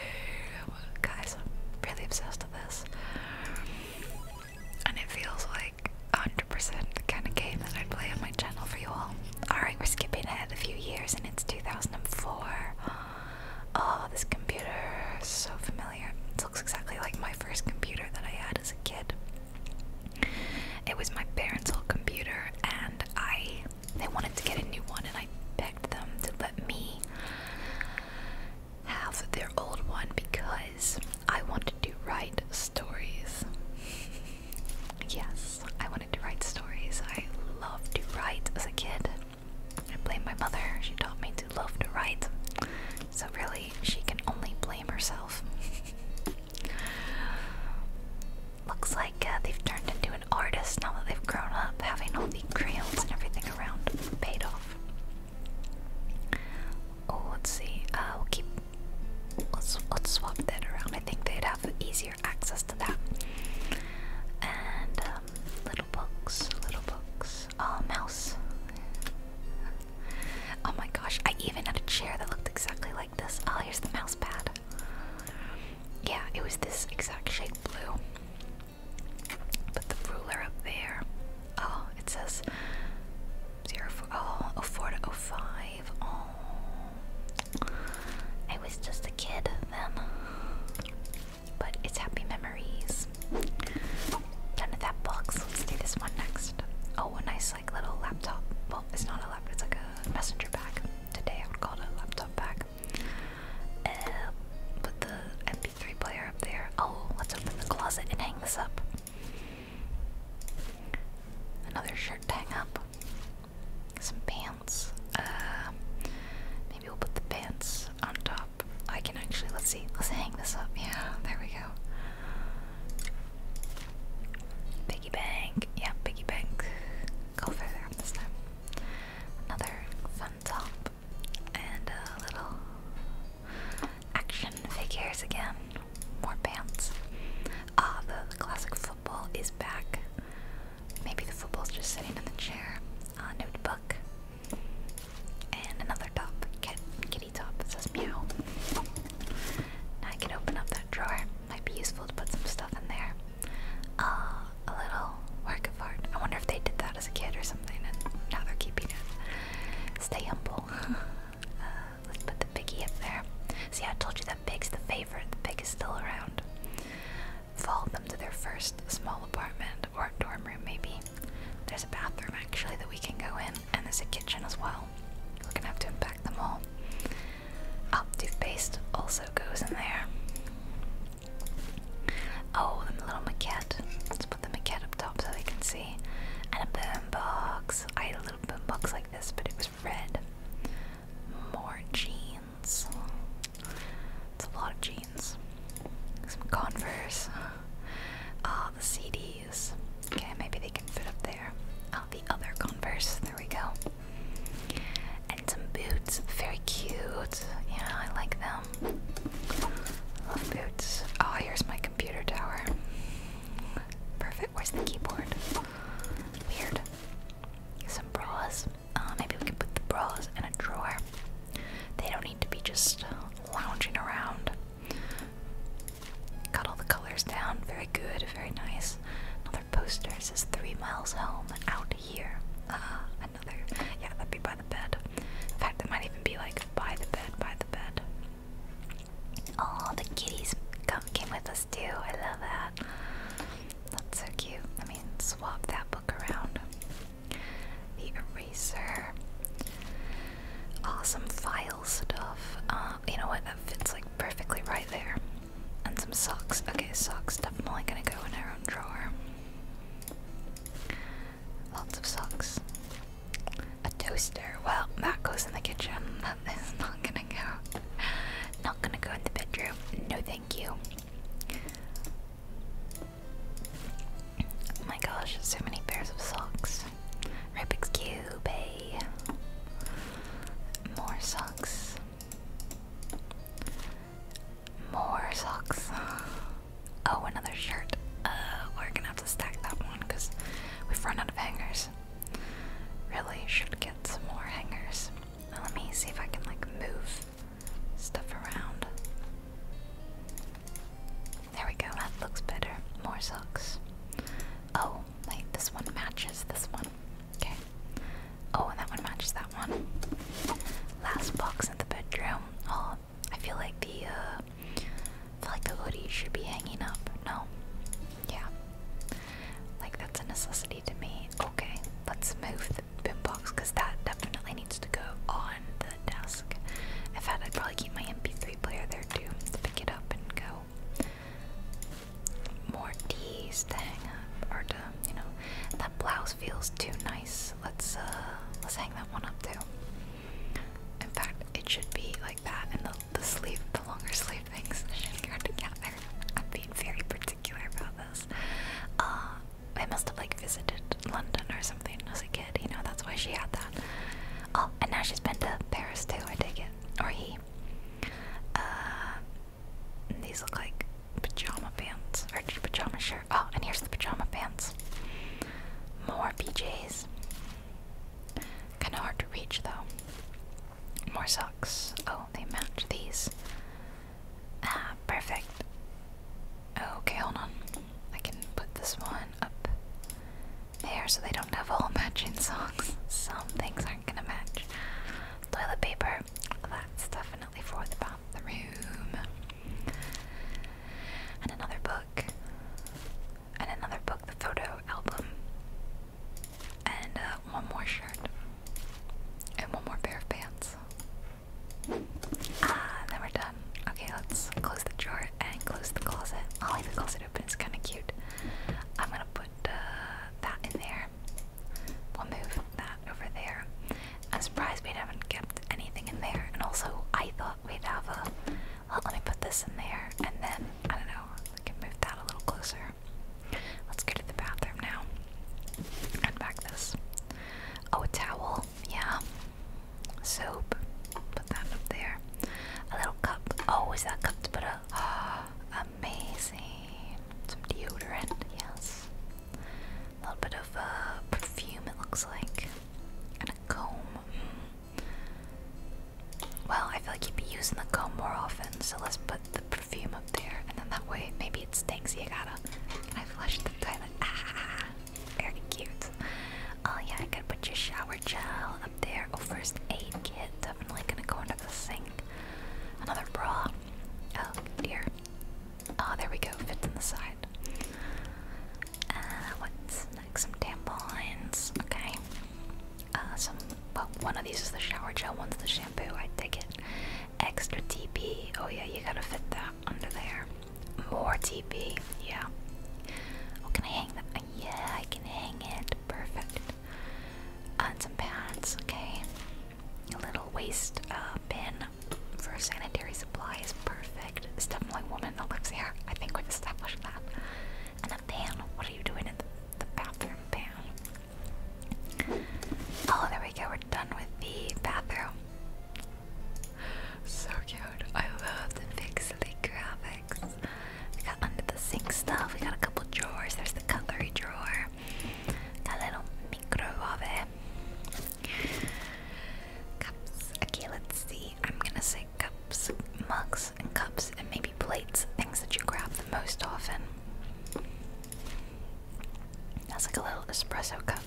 Guys, I'm really obsessed with this. And it feels like 100 the kind of game that I play on my channel for you all. Alright, we're skipping ahead a few years and it's 2004. Oh, this computer is so familiar. This looks exactly like my first computer that I had as a kid. It was my parents' old computer, and I they wanted to get a new one, and I begged them to let me have their old one because I wanted to write stories. yes, I wanted to write stories. I loved to write as a kid. I blame my mother. She taught me to love to write. So, really, she can only blame herself. Looks like uh, they've turned into an artist now that they've grown up, having all the crayons and everything around paid off. Oh, let's see. Uh, we'll keep. Let's let's swap that around. I think they'd have easier access to that. And um, little books, little books. Oh, mouse. Oh my gosh, I even had a chair that looked exactly like this. Oh, here's the mouse pad. Yeah, it was this exact shape, blue. Put the ruler up there. Oh, it says 0 to oh 05. Oh. I was just a kid then. But it's happy memories. Done with that box. Let's do this one next. Oh, a nice like little laptop. Well, it's not a laptop. It's like a messenger bag. Today I would call a laptop bag. put the MP3 player up there. Oh, let's open the closet and hang this up. Another shirt to hang up. Some pants. Uh, maybe we'll put the pants on top. I can actually let's see. Let's hang this up. Yeah, there we go. Piggy bank. Yeah, piggy bank. Go further this time. Another fun top. And a little action figures again. More pants. Ah, the, classic football is back. Maybe the football's just sitting in the chair. A ah, notebook. And another top. Get top that says meow. Now I can open up that drawer. Might be useful to put some stuff in there. Uh, a little work of art. I wonder if they did that as a kid or something and now they're keeping it. Stay humble. Uh, let's put the piggy up there. See, I told you that pig's the favorite. The pig is still around. Follow them to their first small apartment or dorm room, maybe. There's a bathroom actually that we can go in, and there's a kitchen as well we're gonna have to unpack them all. Oh, toothpaste also goes in there. Oh, the little maquette. Let's put the maquette up top so they can see. And a boombox. I had a little boombox like this, but it was red. More jeans. It's a lot of jeans. Some Converse. Ah, oh, the CDs. Okay, maybe they can fit up there. Oh, the other Converse. There we go. And some boots. Very cute. Yeah, I like them. Love boots. Oh, here's my computer tower. Perfect. Where's the keyboard? Weird. Some bras. Uh, maybe we can put the bras in a drawer. They don't need to be just lounging around. Got all the colors down. Very good, very nice. Another poster says three miles home out here. Uh, another, yeah, that'd be by the bed. In fact, it might even be like by the bed, by the bed. Oh, the kitties come, came with us too. I love that. That's so cute. I mean, swap that book around. The eraser. Awesome file stuff. Uh, you know what? That fits like perfectly right there. And some socks. Okay, socks definitely gonna go in our own drawer. Lots of socks. A toaster. Well, that goes in the kitchen. That is not gonna go. Not gonna go in the bedroom. No, thank you. Oh my gosh, so many pairs of socks. Rubik's Cube, eh? More socks. More socks. Oh, another shirt. Uh, we're gonna have to stack that one because we've run out of hangers. Really should get some more hangers. let me see if I can like move stuff around. There we go, that looks better. More socks. Oh, like this one matches this one. Okay. Oh, that one matches that one. Last box in the bedroom. Oh, I feel like the uh, feel like the hoodie should be hanging up. No. Yeah. Like that's a necessity to me. Okay, let's move the bin box because that definitely needs to go on the desk. In fact, I'd probably keep my MP3 player there too pick it up and go more tees to hang up or to you know that blouse feels too nice. Let's uh, let's hang that one up too. In fact, it should be like that and the sleeve the longer sleeve things should I'm being very particular about this. Uh I must have like visited London or something as a kid, you know, that's why she had that. Oh, and now she's been to Paris too, I take it. Or he. Uh, these look like pajama pants or pajama shirt. Oh, and here's the pajama pants. More PJs. Kind of hard to reach though. More socks. Oh, they match these. Ah, perfect. Okay, hold on. I can put this one up there so they don't have all matching socks. Some things are aren't gonna match. Toilet paper, that's definitely for the bathroom. And another book. And another book, the photo album. And uh, one more shirt. And one more pair of pants. Ah, then we're done. Okay, let's close the drawer and close the closet. I'll leave the closet open, it's kind of cute. I'm gonna put uh, that in there. we move that over there. I'm surprised we haven't kept anything in there. And also, I thought we'd have a. Well, let me put this in there, and then I don't know. We can move that a little closer. Let's go to the bathroom now. And back this. Oh, towel. Yeah. Soap. Put that up there. A little cup. Oh, is that cup to put a? Amazing. Some deodorant, yes. A little bit of uh, perfume, it looks like. And a comb. Hmm. Well, I feel like you'd be using the comb more often, so let's put the perfume up there. And then that way, maybe it stinks. You gotta. Can I flush the toilet? Ah, very cute. Oh, yeah, I gotta put your shower gel up there. Oh, first aid kit. Definitely gonna go under the sink. Another bra. Oh dear. Oh, there we go. Fits in the side. Uh, Some tampons. Okay. Uh, some. Well, one of these is the shower gel. One's the shampoo. I dig it. Extra TP. Oh yeah, you gotta fit that under there. More TP. Yeah. Oh, can I hang that? Yeah, I can hang it. Perfect. Uh, and some pads, okay? A little waste uh, bin for sanitary supplies, perfect. Stuffling woman that lives here, I think we've established that. And a pan, what are you doing in the, the bathroom pan? Oh, there we go, we're done with the bathroom. So cute, I love the pixely graphics. We got under the sink stuff. We got a couple drawers. There's the cutlery drawer. Got little microwave. Cups. Okay, let's see. I'm gonna say cups, mugs, and cups, and maybe plates. Things that you grab the most often. That's like a little espresso cup.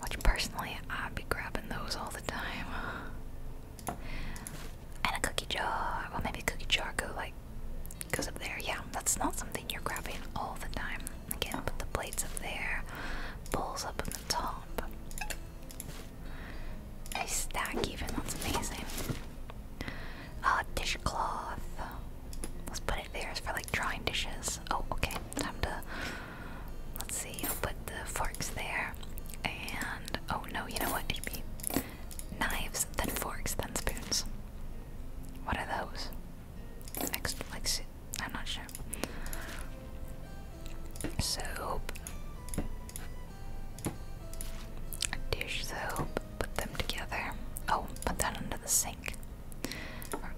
Which personally, I'd be grabbing those all the time. And a cookie jar. Well, maybe cookie jar go like goes up there. Yeah, that's not something you're grabbing all the time. Again, put the plates up there, bowls up on the top. Nice stack, even. That's amazing. Uh, dishcloth. Let's put it there for like drying dishes. Oh, okay. Time to. Let's see. put the forks there. And. Oh no, you know what? Knives, then forks, then spoons. What are those? Next, like, I'm not sure. Soap. Dish soap. Put them together. Oh, put that under the sink. Or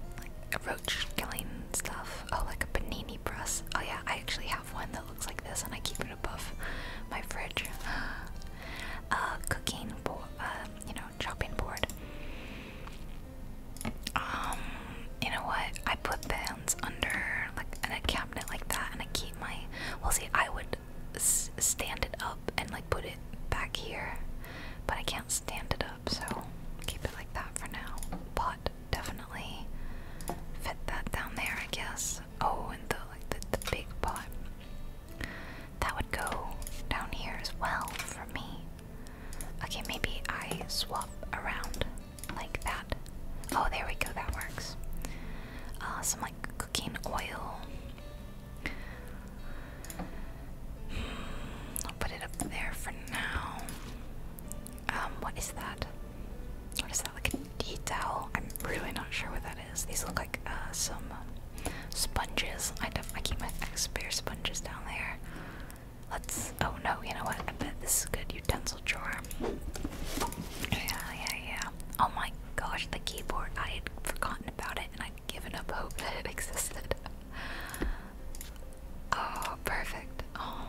roach killing stuff. Oh, like a Benini brush. Oh yeah, I actually have one that looks like this, and I keep it above my fridge. A cooking you know, chopping board. Um, you know what? I put pans under like in a cabinet like that, and I keep my. Well, see, I would stand it up and like put it back here, but I can't stand it up, so keep it like that for now. Pot definitely fit that down there, I guess. Oh, and the like the big pot. That would go down here as well for me. Okay, maybe I swap around like that. Oh, there we go, that works. Uh, some like cooking oil. Hmm, I'll put it up there for now. Um, what is that? What is that? Like a detail? I'm really not sure what that these look like uh, some um, sponges. I, I keep my spare sponges down there. Let's. Oh no, you know what? I bet this is a good utensil drawer. Yeah, yeah, yeah. Oh my gosh, the keyboard. I had forgotten about it and I'd given up hope that it existed. oh, perfect. Oh,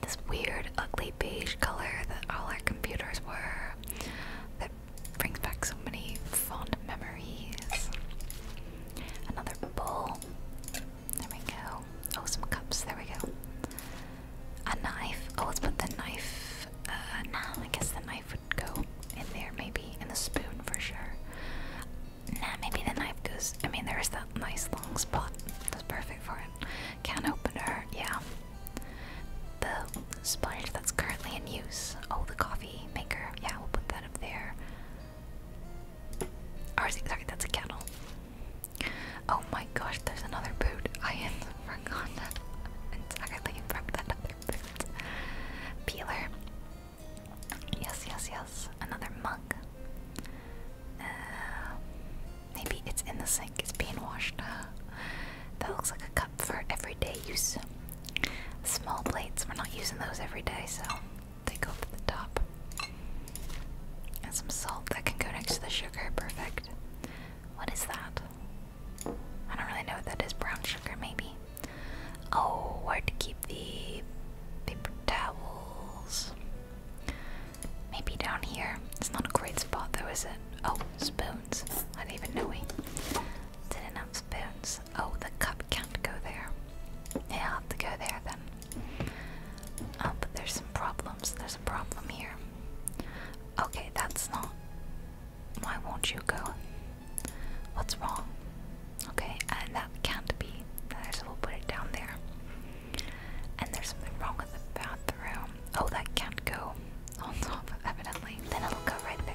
this weird, ugly beige color that all our computers were brings back so many fond memories. Another bowl. There we go. Oh, some cups. There we go. A knife. Oh, let's put the knife. Uh, nah, I guess the knife would go in there, maybe. And the spoon for sure. Nah, maybe the knife goes. I mean, there is that nice long spot. That's perfect for it. Can opener. Yeah, the sponge that's currently in use. Oh, the coffee maker. Yeah, we'll put that up there. Or, sorry, that's a kettle. Oh my gosh, there's another boot. I am had forgotten entirely about that other boot. Peeler. Yes, yes, yes. Another mug. Uh, maybe it's in the sink. It's being washed. that looks like a cup for everyday use. Small plates, we're not using those every day, so they go to the top. And some salt that can go next to the sugar, perfect. What is that? I don't really know what that is. Brown sugar, maybe. Oh, where to keep the paper towels? Maybe down here. It's not a great spot, though, is it? Oh, spoons. I didn't even know we didn't spoons. Oh, the cup can't go there. Yeah, i have to go there then. Oh, but there's some problems. There's a problem here. Okay, that's not. Why won't you go? What's wrong? Okay, and that can't be. So we'll put it down there. And there's something wrong with the bathroom. Oh, that can't go on top, evidently. Then it'll go right there.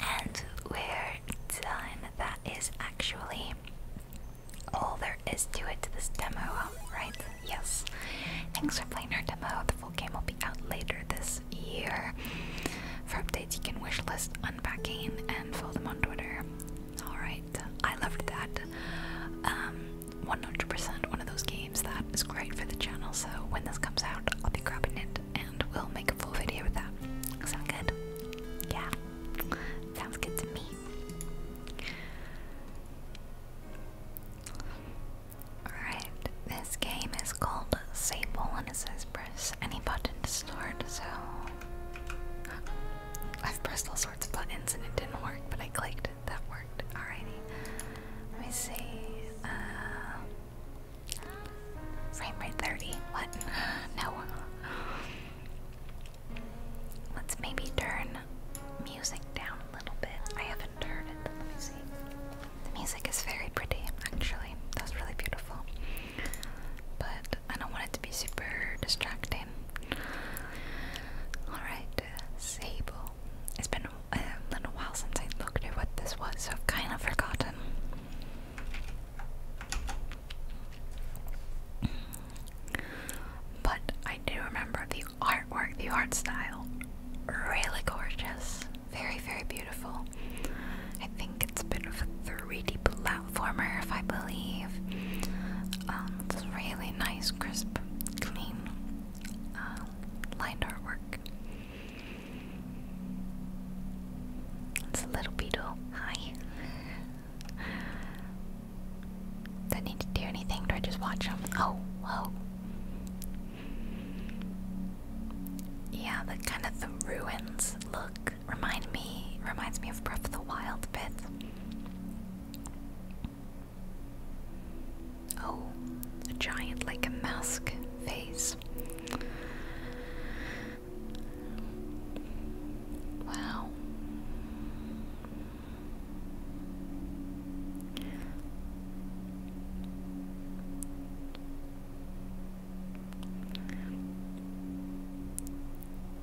And we're done. That is actually all there is to it to this demo, right? Yes. Thanks for playing our demo. The full game will be out later this year. For updates, you can wishlist unpacking and follow them on Twitter. Alright, I loved that. Um, 100% one of those games that is great for the channel, so when this comes out, I'll be grabbing it and we'll make a full video with that. Sounds good? Yeah. Sounds good to me. Alright, this game is called Sable and it says press any button to start, so I've pressed all sorts of buttons and it didn't work, but I clicked that worked. Alrighty. Let me see. Uh, Frame rate 30. What? No. Let's maybe turn music down a little bit. I haven't heard it. Let me see. The music is very pretty, actually. That's really beautiful. But I don't want it to be super distracting. Alright, Sable. It's been a little while since I looked at what this was, so I've kind of forgotten. But I do remember the artwork, the art style. Really gorgeous. Very, very beautiful. I think it's a bit a 3D platformer, if I believe. Um, really nice, crisp, clean uh, artwork. It's a little beetle. Hi. Do I need to do anything? Do I just watch them? Oh, whoa. Yeah, the kind of the ruins look remind me reminds me of Breath the Wild bit. Oh, a giant like a mask face this. Wow.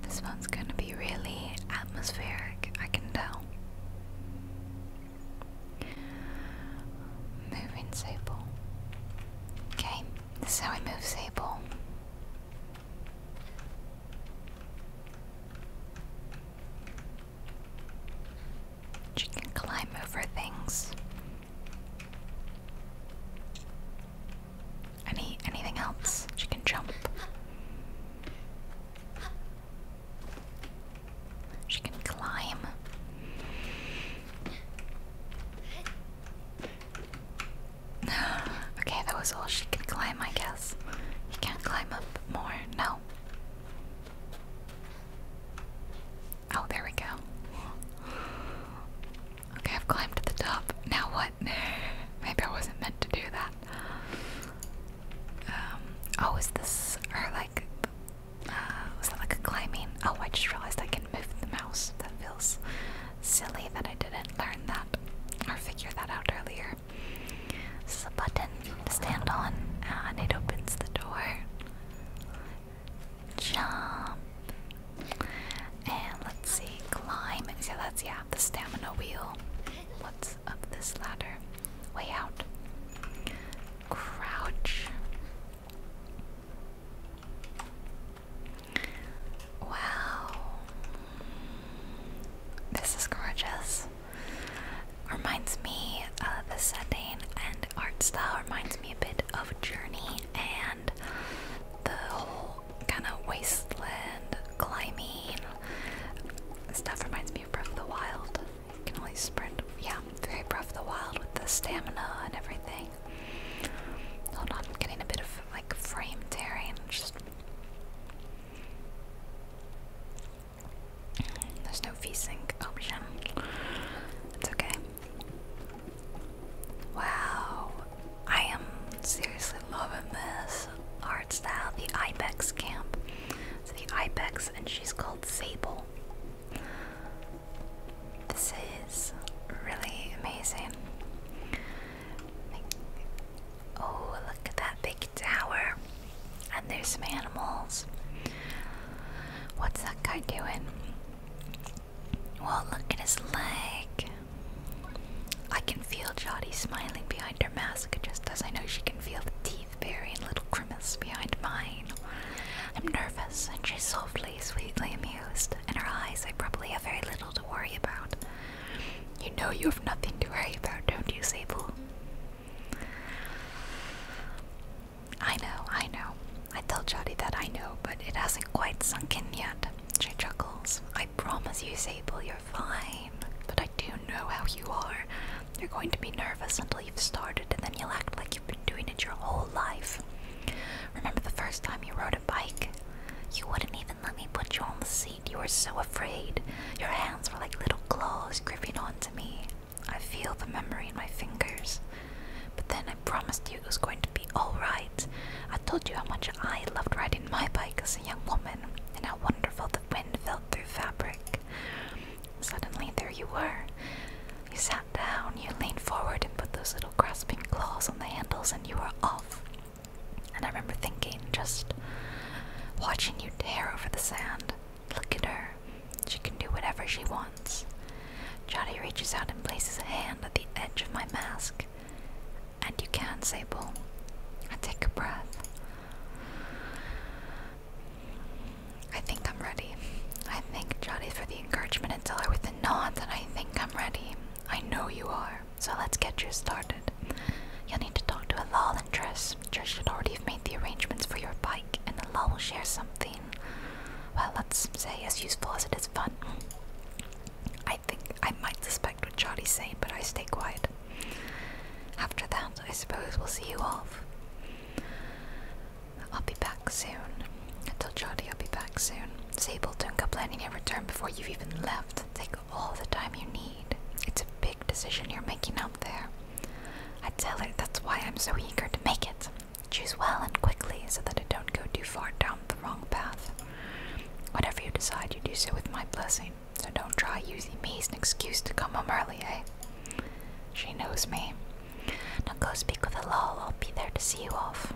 This one's going to be really atmospheric, I can tell. Moving Sable. Okay, this is how we move Sable. She can climb over things. Any anything else? She can jump. She can climb. okay, that was all she could climb, I guess. You can't climb up more, no. Oh, there we go. Okay, I've climbed to the top. Now what? Maybe I wasn't meant to do that. Um, oh, is this, or like, was that like climbing? Oh, I just realized I can move the mouse. That feels silly that I didn't learn that or figure that out earlier. This is a button to stand on, and it opens the door. Jump. And let's see, climb. So that's, yeah, the stamina wheel. What's up this ladder? Way out. Crouch. Wow. This is gorgeous. Reminds me uh, the setting and art style reminds me a bit of Journey and the whole kind of wasteland climbing stuff reminds me of Breath of the Wild. You can only sprint. Yeah, very Breath of the Wild with the stamina and everything. Hold on, I'm getting a bit of like frame tearing. Just there's no VSync option. It's okay. Wow, I am seriously loving this art style. The Ibex camp. It's the Ibex, and she's called Sable. This is really amazing. oh, look at that big tower. And there's some animals. What's that guy doing? Well, look at his leg. I can feel Jody smiling behind her mask just as I know she can feel the teeth burying little grimace behind mine. I'm nervous, and she softly sweetly amused. In her eyes, I probably have very little to worry about. You know you have nothing to worry about, don't you, Sable? I know, I know. I tell Jody that I know, but it hasn't quite sunk in yet. She chuckles. I promise you, Sable, you're fine. But I do know how you are. You're going to be nervous until you've started, and then you'll act like you've been doing it your whole life. Remember the first time you rode a bike? You wouldn't even let me put you on the seat. You were so afraid. Your hands were like little claws gripping onto me. I feel the memory in my fingers. But then I promised you it was going to be alright. I told you how much I loved riding my bike as a young woman and how wonderful the wind felt through fabric. Suddenly, there you were. You sat down, you leaned forward and put those little grasping claws on the handles, and you were off. And I remember thinking, just watching you tear over the sand. Look at her. She can do whatever she wants. Johnny reaches out and places a hand at the edge of my mask. And you can, Sable. I take a breath. I think I'm ready. I thank Johnny for the encouragement and tell her with the that I think I'm ready. I know you are, so let's get you started. You'll need to talk to a Alal and Triss. Triss should already have made the arrangements for your bike, and Alal will share something. Well, let's say as useful as it is fun. I think I might suspect what Charlie's saying, but I stay quiet. After that, I suppose we'll see you off. I'll be back soon. I told Jody I'll be back soon. Sable, don't go planning your return before you've even left. Take all the time you need. It's a big decision you're making out there. I tell her that's why I'm so eager to make it. Choose well and quickly so that I don't go too far down the wrong path. Whatever you decide, you do so with my blessing, so don't try using me as an excuse to come home early, eh? She knows me. Now go speak with Alal, I'll be there to see you off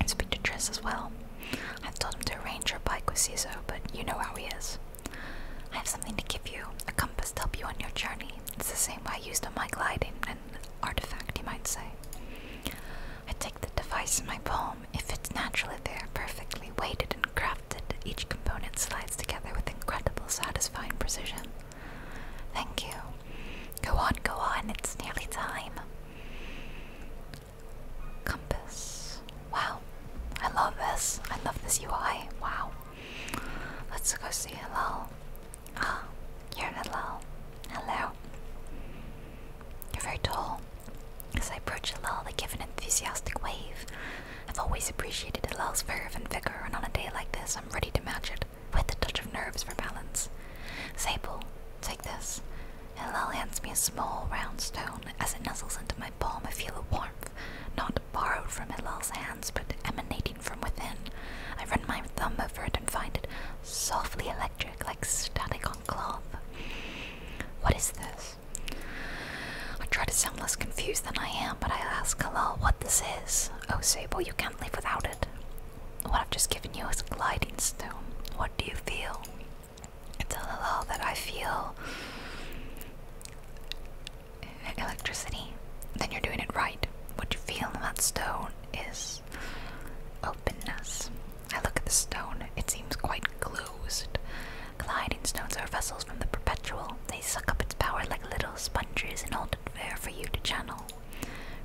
and speak to Triss as well. I've told him to arrange your bike with Ciso, but you know how he is. I have something to give you, a compass to help you on your journey. It's the same I used on my gliding, an artifact, you might say. I take the device in my palm. If it's naturally there, perfectly weighted and crafted. Each component slides together with incredible, satisfying precision. Thank you. Go on, go on, it's nearly time. Compass. Wow. I love this. I love this UI. Wow. Let's go see hello. Ah, you're hello. Hello. You're very tall. As I approach Lil, they give an enthusiastic wave. I've always appreciated Lil's fervor and vigor, and on a day like this, I'm ready to match it with a touch of nerves for balance. Sable, take this. Hillel hands me a small round stone as it nuzzles into my palm. I feel a warmth, not borrowed from Hillel's hands, but emanating from within. I run my thumb over it and find it softly electric, like static on cloth. What is this? I try to sound less confused than I am, but I ask Hillel what this is. Oh, Sable, you can't live without it. What I've just given you is a gliding stone. What do you feel? It's a hello that I feel electricity. Then you're doing it right. What you feel in that stone is openness. I look at the stone, it seems quite closed. Gliding stones are vessels from the perpetual. They suck up its power like little sponges and hold it there for you to channel.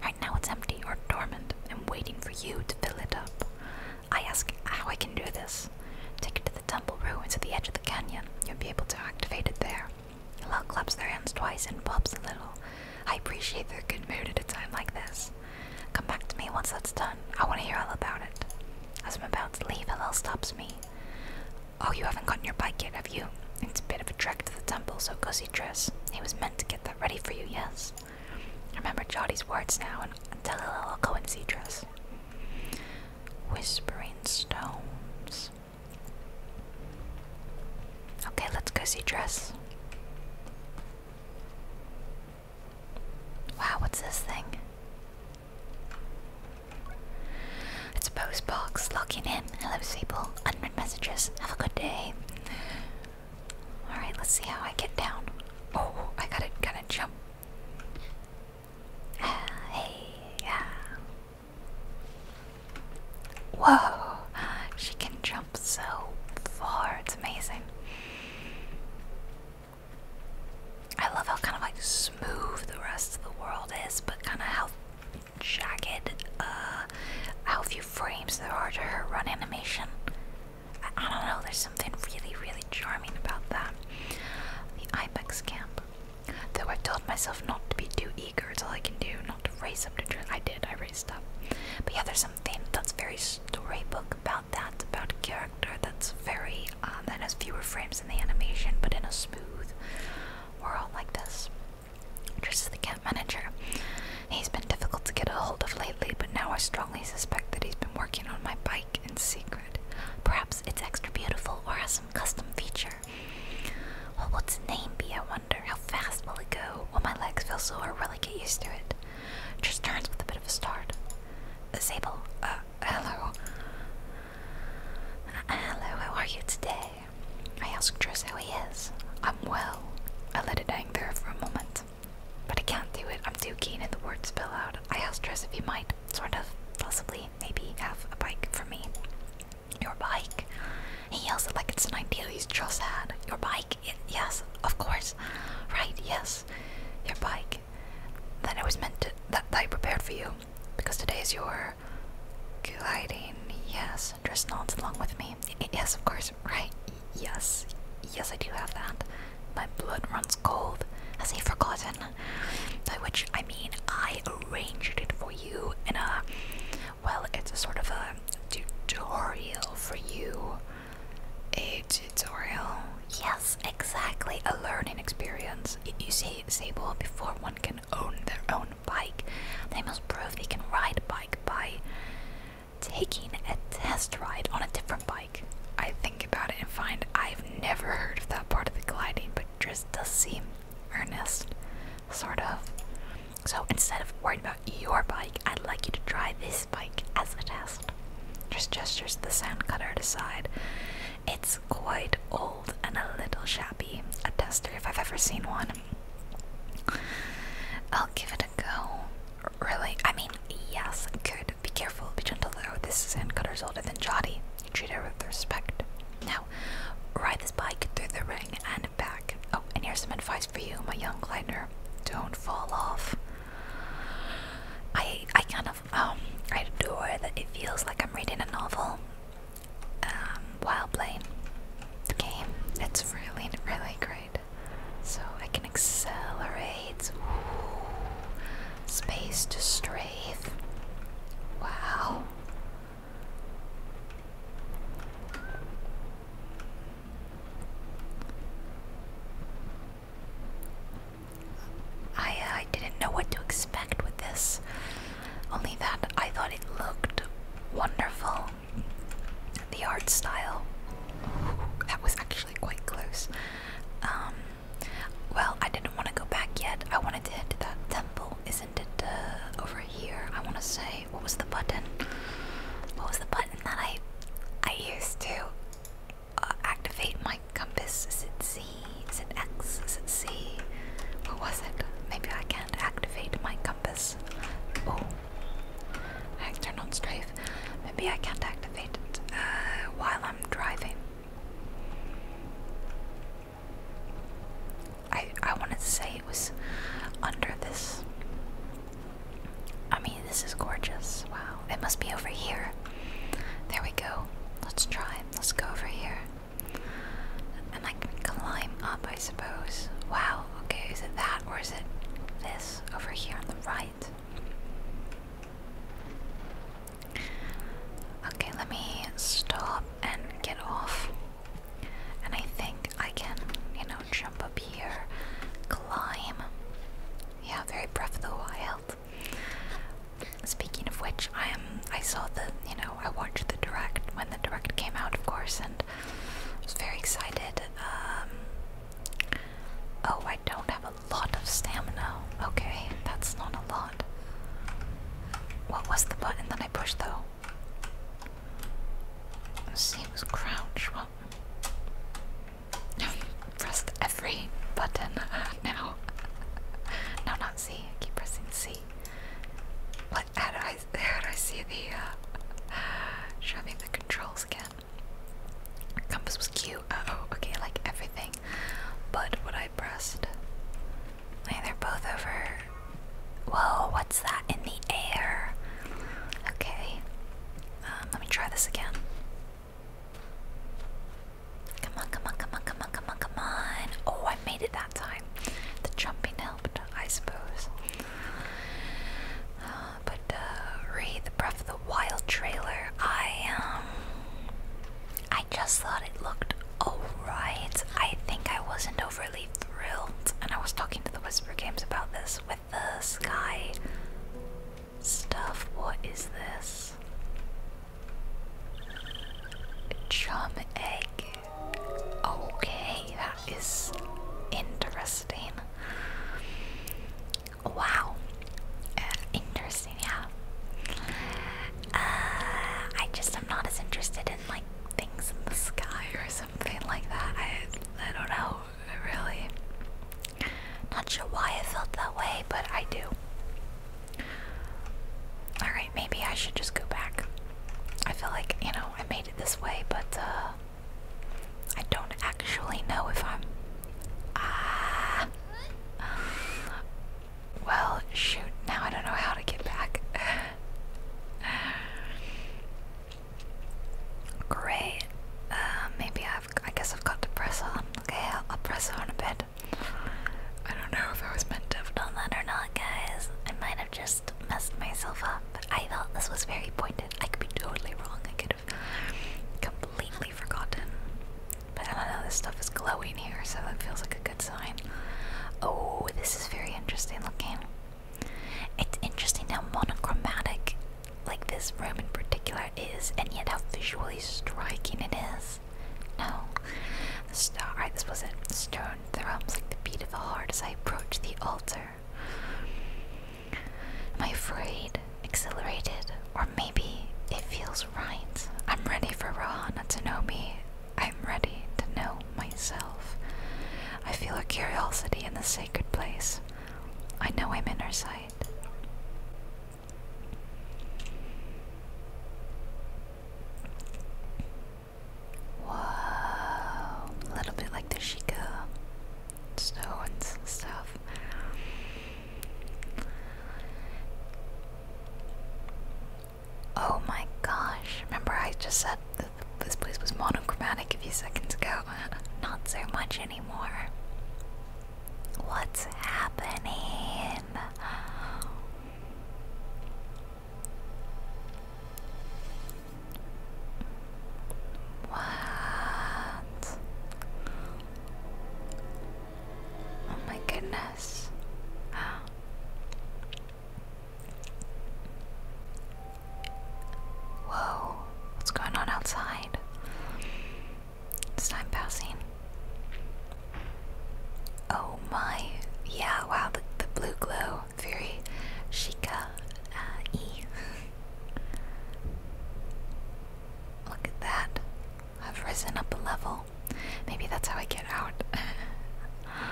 Right now it's empty or dormant and waiting for you to fill it up. I ask how I can do this. Take it to the temple ruins at the edge of the canyon. You'll be able to activate it there. Lal claps their hands twice and bobs a little. I appreciate their good mood at a time like this. Come back to me once that's done. I want to hear all about it. As I'm about to leave, Hillel stops me. Oh, you haven't gotten your bike yet, have you? It's a bit of a trek to the temple, so gussy dress. It was meant to get that ready for you, yes? Remember Jotty's words now and tell Lil I'll go and see Dress. Whispering stones. Okay, let's go see Dress. Wow, what's this thing? It's a post box. Logging in. Hello, people. Unread messages. Have a good day. Alright, let's see how I get down. Oh, I gotta gotta jump. Uh, hey, yeah. Whoa! She can jump so far, it's amazing. I love how kind of like smooth the rest of the world is, but kind of how jagged, uh, how few frames that are to her run animation. I, don't know, there's something really, really charming about that. The Ibex camp. Though I've told myself not to be too eager, it's all I can do, not to raise them to truth. I did, I raised up. But yeah, there's something that's very storybook about that, about a character that's very, uh, that has fewer frames in the animation, but in a smooth world like this. Trish is the camp manager. He's been difficult to get a hold of lately, but now I strongly suspect that he's been working on my bike in secret. Perhaps it's extra beautiful or has some custom feature. What will its name be, I wonder? How fast will it go? Will my legs feel sore? Will I get used to it? Trish turns with a bit of a start. Sable, uh, hello. Uh, hello, how are you today? I asked Triss how he is. I'm well. I let it there for a moment. But I can't do it, I'm too keen and the words spill out. I asked Dress if you might, sort of, possibly, maybe have a bike for me. Your bike? He yells it like it's an idea he's just had. Your bike? yes, of course. Right, yes. Your bike. Then I was meant to, that, that I prepared for you. Because today is your gliding, yes. Dress nods along with me. yes, of course. Yes, right? Yes, yes, I do have that. My blood runs cold. Has he forgotten? By which I mean I arranged it for you in a. Well, it's a sort of a tutorial for you. A tutorial? Yes, exactly. A learning experience. You see, Sable, before one can own their own bike, they must prove they can ride bike by taking a test ride on a different bike. I think about it and find I've never heard of that part of the gliding, but just does seem earnest, sort of. So instead of worrying about your bike, I'd like you to try this bike as a test. Just gestures the sound cutter aside. It's quite old and a little shabby. A tester if I've ever seen one. I'll give it a go. Really? I mean, yes, good. Be careful, be gentle though. This is Handcutter's older than Jody, You treat her with respect. Now, ride this bike through the ring and back. Oh, and here's some advice for you, my young glider. Don't fall off. I I kind of um I adore that it feels like I'm reading a novel. Um, while playing the game. It's really, really great. So I can accelerate. Space to strafe. Wow. I, uh, I didn't know what to expect with this. Only that I thought it looked wonderful the art style. That was actually quite close. Um, well, I didn't want to go back yet. I wanted to hit that temple. Isn't it uh, over here? I want to say, what was the button? What was the button that I I used to uh, activate my compass? Is it Z? Is it X? Is it C? What was it? Maybe I can't activate my compass. Oh, Actor not strafe. Maybe I can't activate it uh, while I'm driving. I I wanted to say it was under this. I mean, this is gorgeous. Wow, it must be over here. There we go. Let's try. Let's go over here. And I can climb up, I suppose. Wow, okay, is it that or is it this? over here on the right. Okay, let me stop and get off. And I think I can, you know, jump up here, climb. Yeah, very Breath of the Wild. Speaking of which, I am. I saw the, you know, I watched the direct when the direct came out, of course, and was very excited. Um, Oh, I don't have a lot of stamina. Okay, that's not a lot. What was the button that I pushed though? Let's see, it was crouch. Well, I've pressed every button now. no, not C. keep pressing C. What? do I? see the? Uh, the controls again. Compass was cute. Uh oh, okay, like everything. But what I pressed. Like they're both over. Whoa, what's that in the air? Okay. Um, let me try this again. Come on, come on, come on, come on, come on, come on. Oh, I made it that time. The jumping helped, I suppose. Um, but uh, read the Breath of the Wild trailer. I um, I just thought it looked alright. I think I wasn't overly thrilled, and I was talking to the Whisper Games about this with the sky stuff. What is this? A Chum egg. Okay, that is interesting. Wow, uh, interesting. Yeah. Uh, I just am not as interested in like things in the sky or something like that. I I don't know really. Not sure why I felt that way, but I do. Alright, maybe I should just go back. I feel like, you know, I made it this way, but uh I don't actually know if I'm. Ah. well, shoot. Now I don't know how to get back. Great. Uh, maybe I've. I guess I've got to press on. Okay, I'll, I'll press on a bit. I don't know if I was meant to have done that or not, guys. I might have just messed myself up. I thought this was very pointed. I could be totally wrong. I could completely forgotten. But I know, this stuff is glowing here, so that feels like a good sign. Oh, this is very interesting looking. It's interesting how monochromatic, like this room in particular, is, and yet how visually striking it is. No. The star, alright, this was not Stone the realms like the beat of a heart as I approach the altar. Am I afraid, exhilarated, or maybe it feels right? I'm ready for Rohan me. I'm ready to know myself. I feel a curiosity in the sacred place. I know I'm in her sight. Whoa, a little bit like the Sheikah. Snow and stuff. Oh my gosh, remember I just said that this place was monochromatic a few seconds ago? Not so much anymore. What's happening? What? Oh my goodness. Huh. Whoa, what's going on outside? It's time passing. Oh my, yeah, wow, the, the blue glow, very chica uh, E. Look at that. I've risen up a level. Maybe that's how I get out. oh,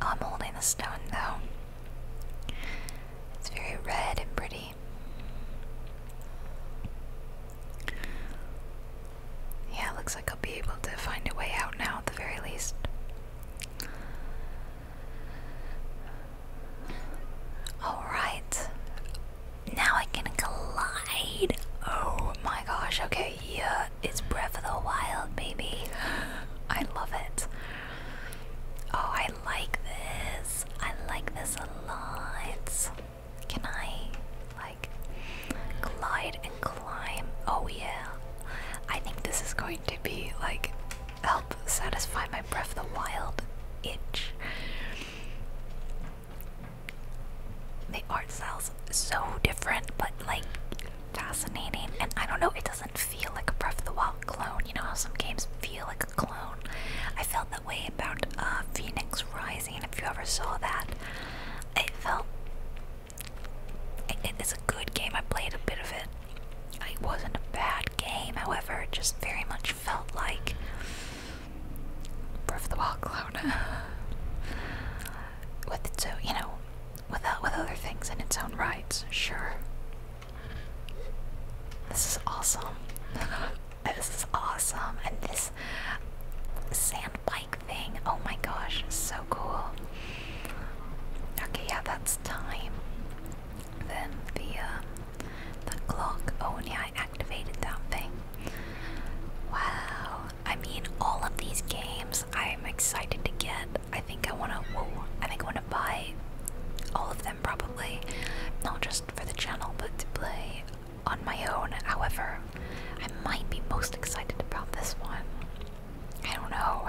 I'm holding the stone though. It's very red and pretty. Yeah, looks like I'll be able to find a way out now at the very least. Alright. Now I can glide. Oh my gosh. Okay, yeah. It's Breath of the Wild, baby. I love it. Oh, I like this. I like this a lot. Can I, like, glide and climb? Oh, yeah. I think this is going to be, like, help satisfy my Breath of the Wild itch. The art style's so different, but like fascinating. And I don't know, it doesn't feel like a Breath of the Wild clone. You know how some games feel like a clone? I felt that way about uh, Phoenix Rising, if you ever saw that. It felt. It, it, it's a good game. I played a bit of it. It wasn't a bad game, however, just very much felt like Breath of the Wild clone. with its own, you know, with, uh, with other things in its own rights, sure. This is awesome. this is awesome. And this sand bike thing, oh my gosh, so cool. Okay, yeah, that's time. Then the, um, the clock. Oh yeah, I activated that thing. Wow. I mean, all of these games I'm excited to get. I think I wanna. I think I wanna buy all of them probably, not just for the channel, but to play on my own. However, I might be most excited about this one. I don't know.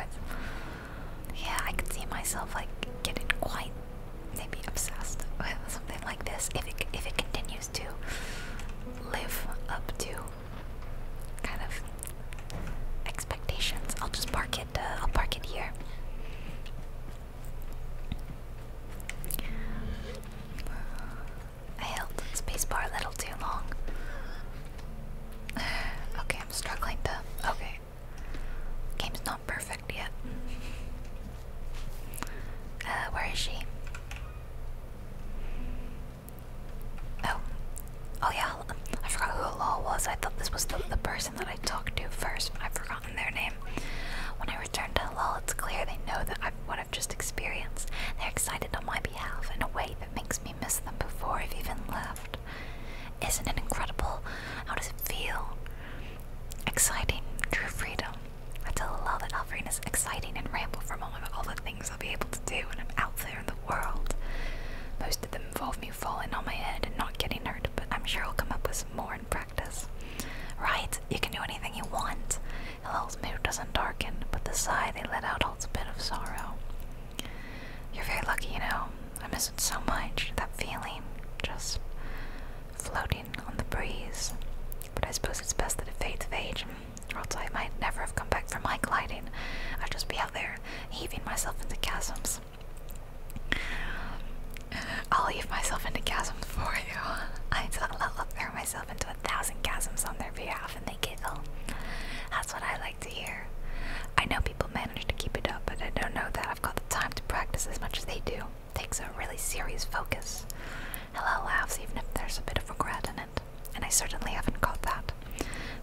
yeah, I could see myself like getting quite they obsessed with something like this if it if it continues to live up to kind of expectations. I'll just park it. Uh, I'll park it here. I held spacebar a little too long. Okay, I'm struggling to. Okay, game's not perfect yet. Uh, where is she? Oh, oh yeah, I forgot who Lol was. I thought this was the, the person that I talked to first. I've forgotten their name. When I return to Lol, it's clear they know that I've, what I've just experienced. They're excited on my behalf in a way that makes me miss them before I've even left. Isn't it incredible? How does it feel? Exciting, true freedom. I tell still love that Alfreen is exciting and ramble from all, all the things I'll be able to do when I'm out there in the world. Most of them involve me falling on my head and not getting hurt, but I'm sure I'll come up with some more in practice. Right, you can do anything you want. Hillel's mood doesn't darken, but the sigh they let out holds a bit of sorrow. You're very lucky, you know. I miss it so much, that feeling, just floating on the breeze. But I suppose it's best that it fades of age, or else I might never have come back from my gliding. I'd just be out there, heaving myself into chasms. I'll heave myself into chasms for you. I I'll throw myself into a thousand chasms on their behalf, and they giggle. That's what I like to hear. I know people manage to keep it up, but I don't know that I've got the time to practice as much as they do takes a really serious focus. Hella laughs even if there's a bit of regret in it, and I certainly haven't caught that.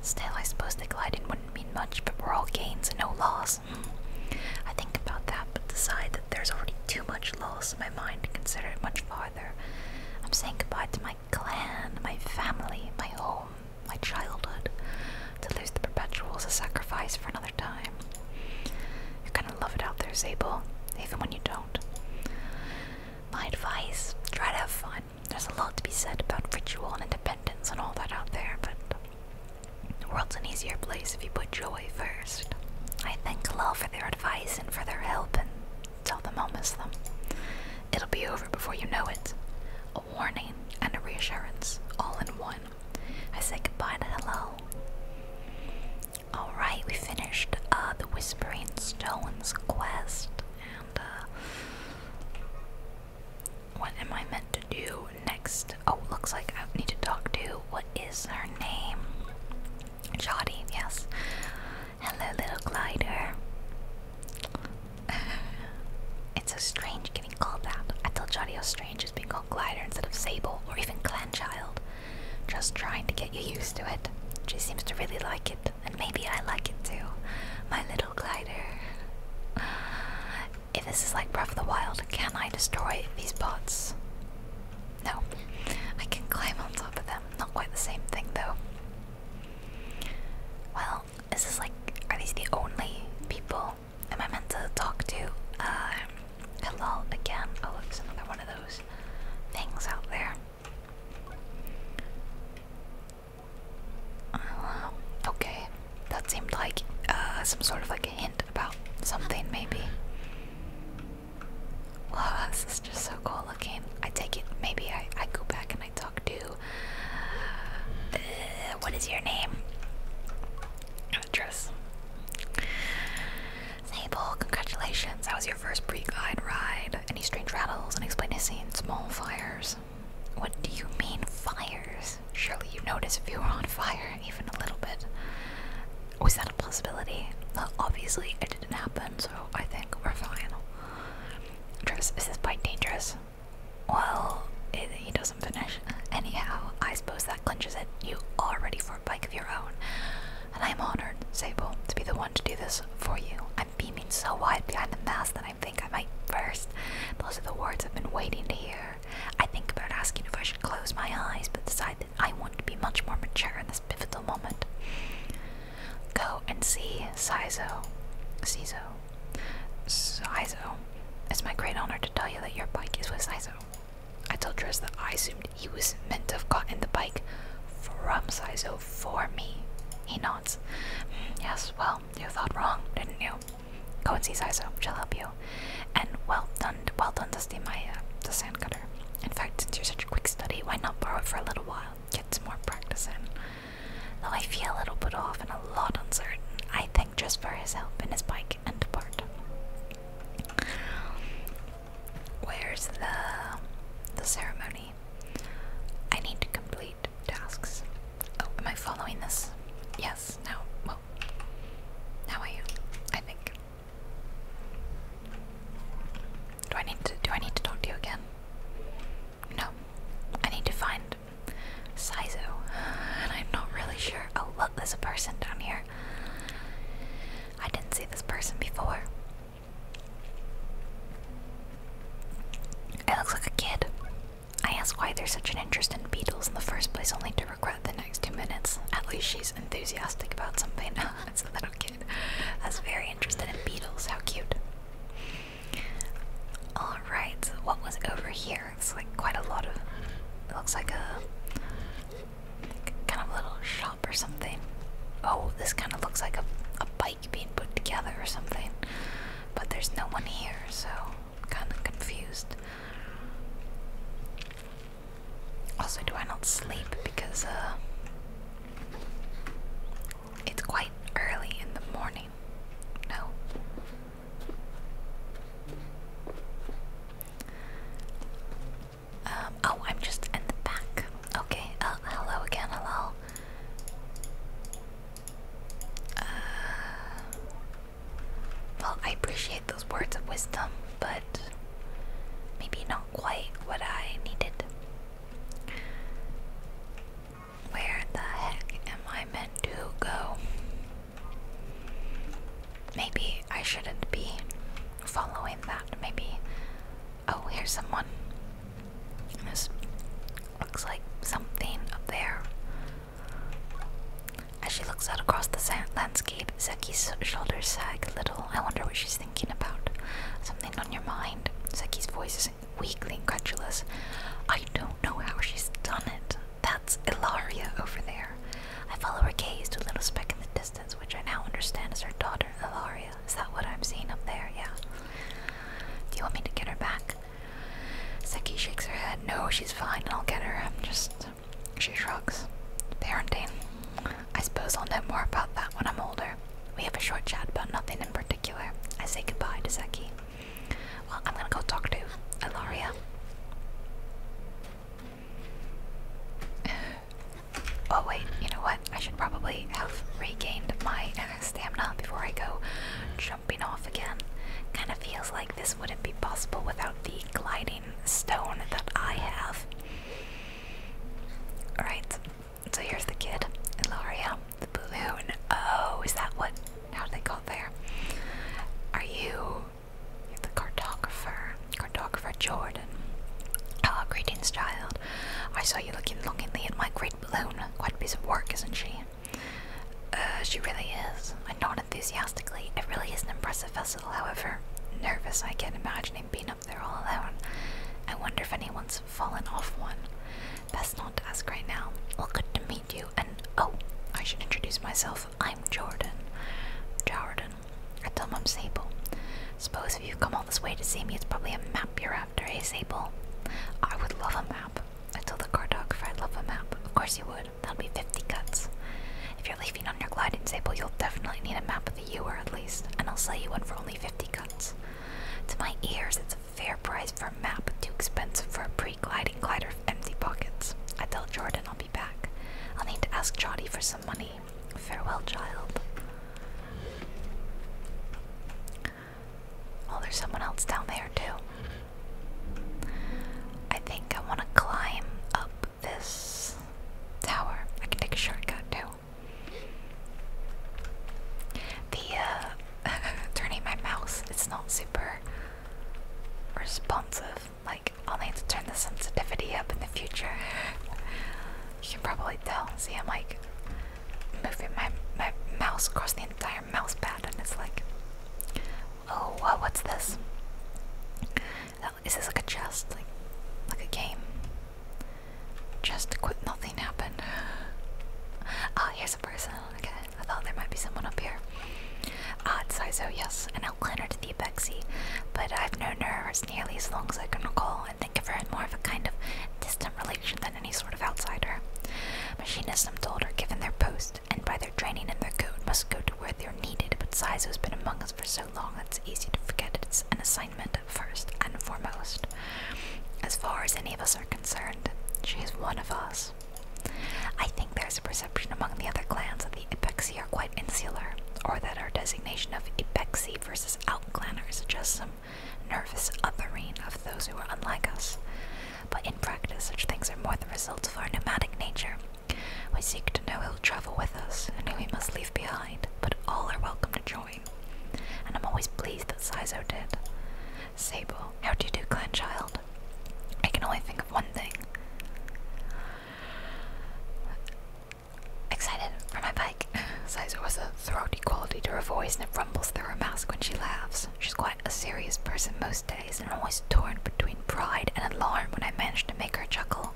Still, I suppose the gliding wouldn't mean much, but we're all gains and no loss. Hmm. I think about that, but decide that there's already too much loss in my mind to consider it much farther. I'm saying goodbye to my clan, my family, my home, my childhood. To lose the perpetual is a sacrifice for another time. You are kind of love it out there, Zabel, even when you don't. My advice try to have fun. There's a lot to be said about ritual and independence and all that out there, but the world's an easier place if you put joy first. I thank Kalal for their advice and for their help and tell them I'll miss them. It'll be over before you know it. A warning and a reassurance, all in one. I say goodbye to Halal. Alright, we finished uh, the Whispering Stones quest, and uh, what am I meant to do next? Oh, looks like I need to talk to what is her name? Jotty, yes. Hello, little glider. it's so strange getting called that. I tell Jotty how strange it's being called glider instead of Sable or even Clanchild. Just trying to get you used to it. She seems to really like it, and maybe I like it too. My little glider. If this is like Breath of the Wild, can I destroy these pots? No. I can climb on top of them. Not quite the same thing though. Well, this is like, are these the only people? Am I meant to talk to? Uh, Hello again. Oh, it's another one of those things out there. Uh, okay, that seemed like uh, some sort of like a hint about something, maybe. Wow, this is just so cool looking. I take it, maybe I, I go back and I talk to. Uh, what is your name? mattress. congratulations. That was your first pre-guide ride. Any strange rattles, unexplained scenes, small fires? What do you mean fires? Surely you noticed if you were on fire, even a little bit. Was that a possibility? obviously it didn't happen, so I think we're fine. Travis, is this bike dangerous? Well, it, he doesn't finish. Anyhow, I suppose that clinches it. You are ready for a bike of your own and I am honored, Sable, to be the one to do this for you. I'm beaming so wide behind the mask that I think I might burst. Those are the words I've been waiting to hear. I think about asking if I should close my eyes, but decide that I want to be much more mature in this pivotal moment. Go and see Sizo. Sizo. Sizo. It's my great honor to tell you that your bike is with Sizo. I told Dress that I assumed he was meant to have gotten the bike from Saizo for me. He nods. Mm, yes, well, you thought wrong, didn't you? Go and see Saizo, she'll help you. And well done, well done, Dusty Maya, the sand cutter. In fact, since you're such a quick study, why not borrow it for a little while? Get some more practice in. Though I feel a little put off and a lot uncertain, I thank just for his help and his bike and part. Where's the the ceremony? I need to complete tasks. Oh, am I following this? Yes. Now, well, now I am. I think. Do I need to? Do I need to talk to you again? No. I need to find Saizo, and I'm not really sure. Oh, look, there's a person down here. I didn't see this person before. It looks like a kid. I asked why there's such an interest in beetles in the first place, only to regret the next two minutes. At least she's enthusiastic about something. it's a little kid. That's very interested in beetles. How cute. Alright, what was over here? It's like quite a lot of. It looks like a kind of a little shop or something. Oh, this kind of looks like a, a bike being put together or something. But there's no one here, so I'm kind of confused. Also, do I not sleep because uh, it's quite early in the morning? No. Um, oh, I'm just in the back. Okay, uh, hello again, hello. Uh, well, I appreciate those words of wisdom, but maybe not quite what I needed. Where the heck am I meant to go? Maybe I shouldn't be following that, maybe. Oh, here's someone. This looks like something up there. As she looks out across the landscape, Zeki's shoulders sag a little. I wonder what she's thinking about. Something on your mind. Zeki's voice is weakly incredulous. I don't know how she's done it. That's Ilaria over there. I follow her gaze to a little speck in the distance which I now understand is her daughter, Ilaria. Is that what I'm seeing up there? Yeah. Do you want me to get her back? Seki shakes her head. No, she's fine. I'll get her. I'm just. She shrugs. Parenting. I suppose I'll know more about that when I'm older. We have a short chat about nothing in particular. I say goodbye to Seki. Well, I'm gonna go talk to Ilaria oh wait, you know what? I should probably have regained my uh, stamina before I go jumping off again. Kind of feels like this wouldn't be possible without the gliding stone that I have. Alright, so here's the kid, and Ilaria, the balloon. Oh, is that what? How did they got there? Are you the cartographer? Cartographer Jordan. Ah, greetings, child. I saw you looking longingly at my great balloon. Quite a piece of work, isn't she? Uh, she really is. And not enthusiastically. It really is an impressive vessel, however. Nervous, I can't imagine him being up there all alone. I wonder if anyone's fallen off one. Best not to ask right now. Well, good to meet you, and oh, I should introduce myself. I'm Jordan. Jordan, I tell him I'm Sable. Suppose if you've come all this way to see me, it's probably a map you're after, eh, Sable? I would love a map. I told the cartographer I'd love a map. Of course you would. That'll be 50 cuts. If you're leaving on your gliding, Sable, you'll definitely need a map of the Ewer at least, and I'll sell you one for only 50 cuts. To my ears, it's a fair price for a map, too expensive for a pre-gliding glider of empty pockets. I tell Jordan I'll be back. I'll need to ask Jody for some money. Farewell, child. Oh, there's someone else down there, too. I think I want to climb up this tower. I can take a shortcut, too. The, uh, turning my mouse, it's not super responsive. Like, I'll need to turn the sensitivity up in the future. You can probably tell. See, I'm like moving my my mouse across the entire mouse pad, and it's like, oh, what's this? Oh, is this like a chest, like like a game? Just quit. Nothing happened. Ah, oh, here's a person. Okay, I thought there might be someone up here. Ah, it's Saizo, yes, an outlander to the Apexi, but I've known her as nearly as long as I can recall think of her in more of a kind of distant relation than any sort of outsider. Machinists are told are given their post, and by their training and their code, must go to where they're needed, but Sizo has been among us for so long that it's easy to forget it's an assignment first and foremost. As far as any of us are concerned, she is one of us. I think there's a perception among the other clans that the Ipexi are quite insular, or that our designation of Ipexi Seed versus Outclanner is just some nervous uppering of those who are unlike us. But in practice, such things are more the result of our nomadic nature. We seek to know who'll travel with us and who we must leave behind, but all are welcome to join. And I'm always pleased that Saizo did. Sable, how do you do, Clanchild? I can only think of one thing excited for my bike. Sizer was a throaty quality to her voice, and it rumbles through her mask when she laughs. She's quite a serious person most days, and I'm always torn between pride and alarm when I manage to make her chuckle.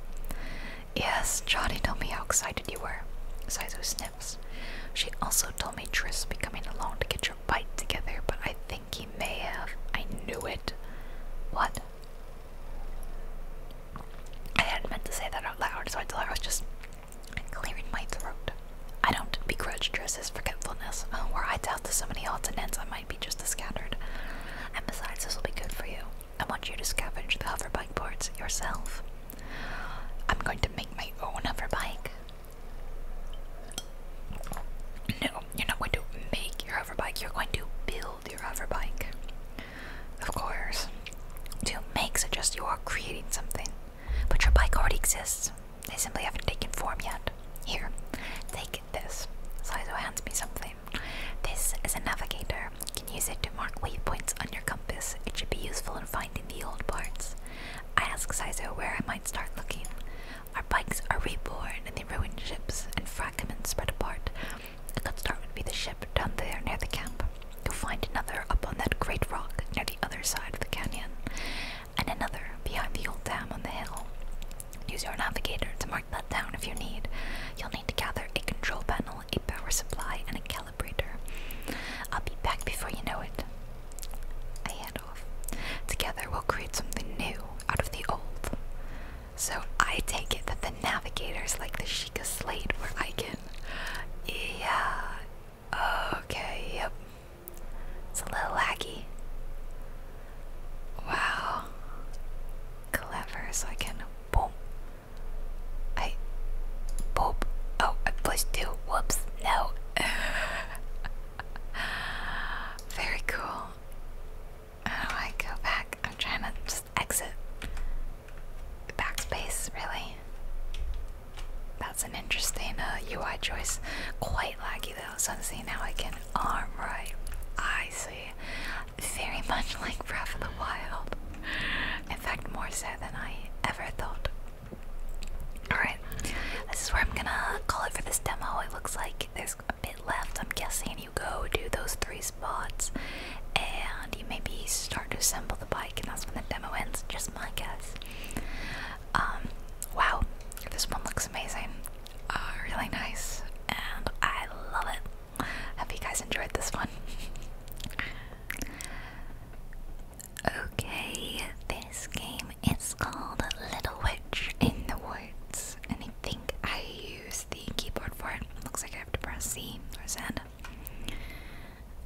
Yes, Johnny told me how excited you were. Sizer sniffs. She also told me Tris would be coming along to get your bike together, but I think he may have. I knew it. What? I hadn't meant to say that out loud, so I thought I was just clearing my throat. I don't begrudge Driss's forgetfulness. Uh, I to have to so many odds and ends, I might be just as scattered. And besides, this will be good for you. I want you to scavenge the hoverbike parts yourself. I'm going to make my own hoverbike. No, you're not going to make your hoverbike, you're going to build your hoverbike. Of course. To make suggests you are creating something, but your bike already exists. They simply haven't taken form yet. Here, take this. Saizo hands me something. This is a navigator. You can use it to mark waypoints on your compass. It should be useful in finding the old parts. I ask Saizo where I might start looking. Our bikes are reborn in the ruined ships and fragments spread apart. The good start would be the ship down there near the camp. You'll find another up on that great rock near the other side of the canyon, and another behind the old dam on the hill. Use your navigator to mark that down if you need. You'll need to gather a control panel, a power supply, and a calibrator. I'll be back before you know it. I head off. Together we'll create something new out of the old. So I take it that the navigator's like the Sheikah Slate where I can yeah. Okay, yep. It's a little laggy. Wow. Clever, so I can boom. I boop. Oh, I pushed two. Whoops. No. Very cool. How I go back? I'm trying to just exit. Backspace, really? That's an interesting UI uh, choice. Quite laggy though, so I'm seeing how I can arm right. I see. Very much like Breath of the Wild. In fact, more so than I ever thought. Alright, this is where I'm gonna call it for this demo. It looks like there's a bit left. I'm guessing you go do those three spots and you maybe start to assemble the bike and that's when the demo ends. Just my guess. Um, wow, this one looks amazing. Uh, really nice, and I love it. Hope you guys enjoyed this one. okay, this game is called Little Witch in the Woods, and I think I use the keyboard for it. Looks like I have to press C or Z.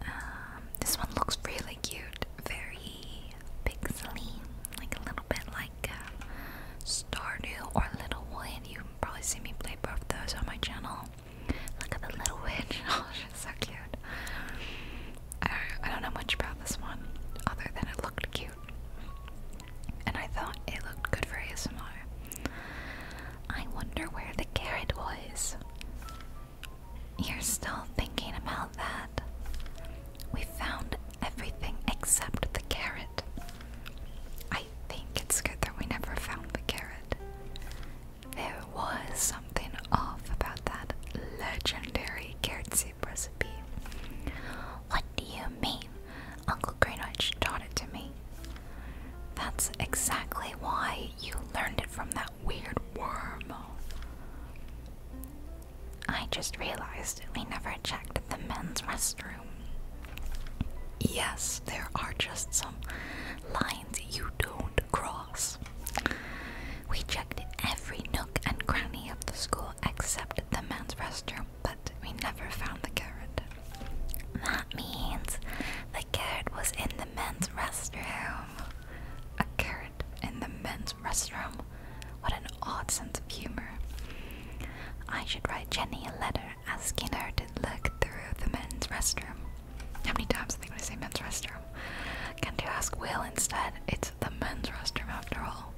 Um, this one looks really cute, very pixely, like a little bit like uh, Stardew or Little Wood. You probably see me play both those on my channel. Look at the little witch. Oh, she's so cute. I don't know much about this one other than it looked cute. And I thought it looked good for ASMR. I wonder where the carrot was. You're still thinking about that. We found everything except the carrot. I think it's good that we never found the carrot. There was something off about that legendary carrot soup recipe. What do you mean? Uncle Greenwich taught it to me. That's exactly why you learned it from that weird worm. I just realized we never checked the men's restroom. Yes, there are just some lines you don't cross. We checked every nook and cranny of the school except the men's restroom, but we never found the carrot. That means the carrot was in the the men's restroom. A carrot in the men's restroom. What an odd sense of humor. I should write Jenny a letter asking her to look through the men's restroom. How many times am I going to say men's restroom? Can't you ask Will instead? It's the men's restroom after all.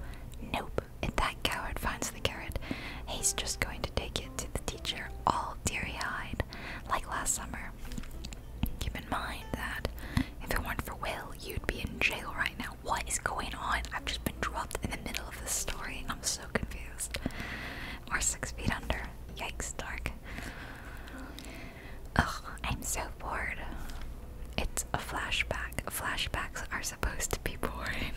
Nope. If that coward finds the carrot, he's just going to take it to the teacher all teary eyed, like last summer. Keep in mind that if it weren't for Will, you'd be in jail right now. What is going on? I've just been dropped in the middle of this story. I'm so confused. We're six feet under. Yikes, dark. Ugh, I'm so bored. It's a flashback. Flashbacks are supposed to be boring.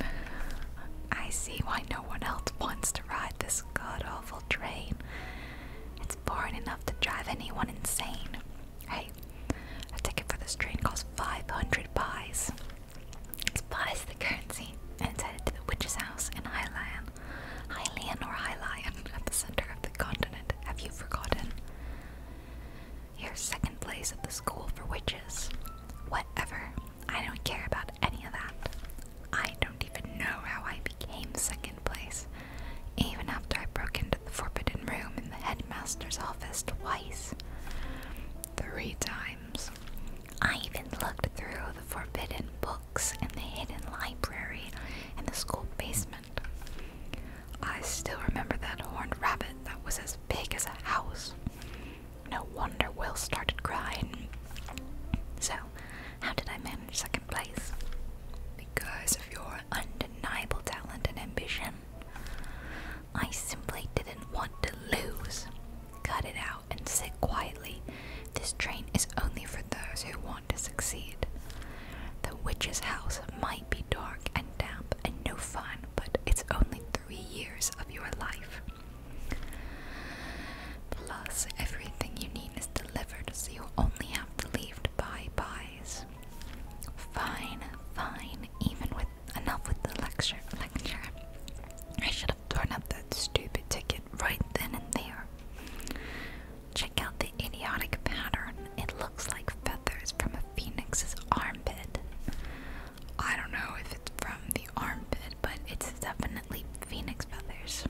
I see why no one else wants to ride this god awful train. It's boring enough to drive anyone insane. Hey, a ticket for this train costs 500 pies. It's pies the currency, and it's headed to the witch's house in Highland. Highland or Highland, at the center of the continent. Have you forgotten? Here's second place at the school for witches. Whatever. I don't care about any of that. I don't even know how I became second place, even after I broke into the forbidden room in the headmaster's office twice. Three times. I even looked through the forbidden books in the hidden library in the school basement. I still remember that horned rabbit that was as big as a house. No wonder Will started crying. So, how did I manage? manage second place because of your undeniable talent and ambition. I simply didn't want to lose. Cut it out and sit quietly. This train is only for those who want to succeed. The witch's house might be dark and damp and no fun, but it's only three years of your life. Plus, everything you need is delivered, so you only have half the pies. Fine, fine, even with enough with the lecture lecture. I should have torn up that stupid ticket right then and there. Check out the idiotic pattern. It looks like feathers from a phoenix's armpit. I don't know if it's from the armpit, but it's definitely phoenix feathers.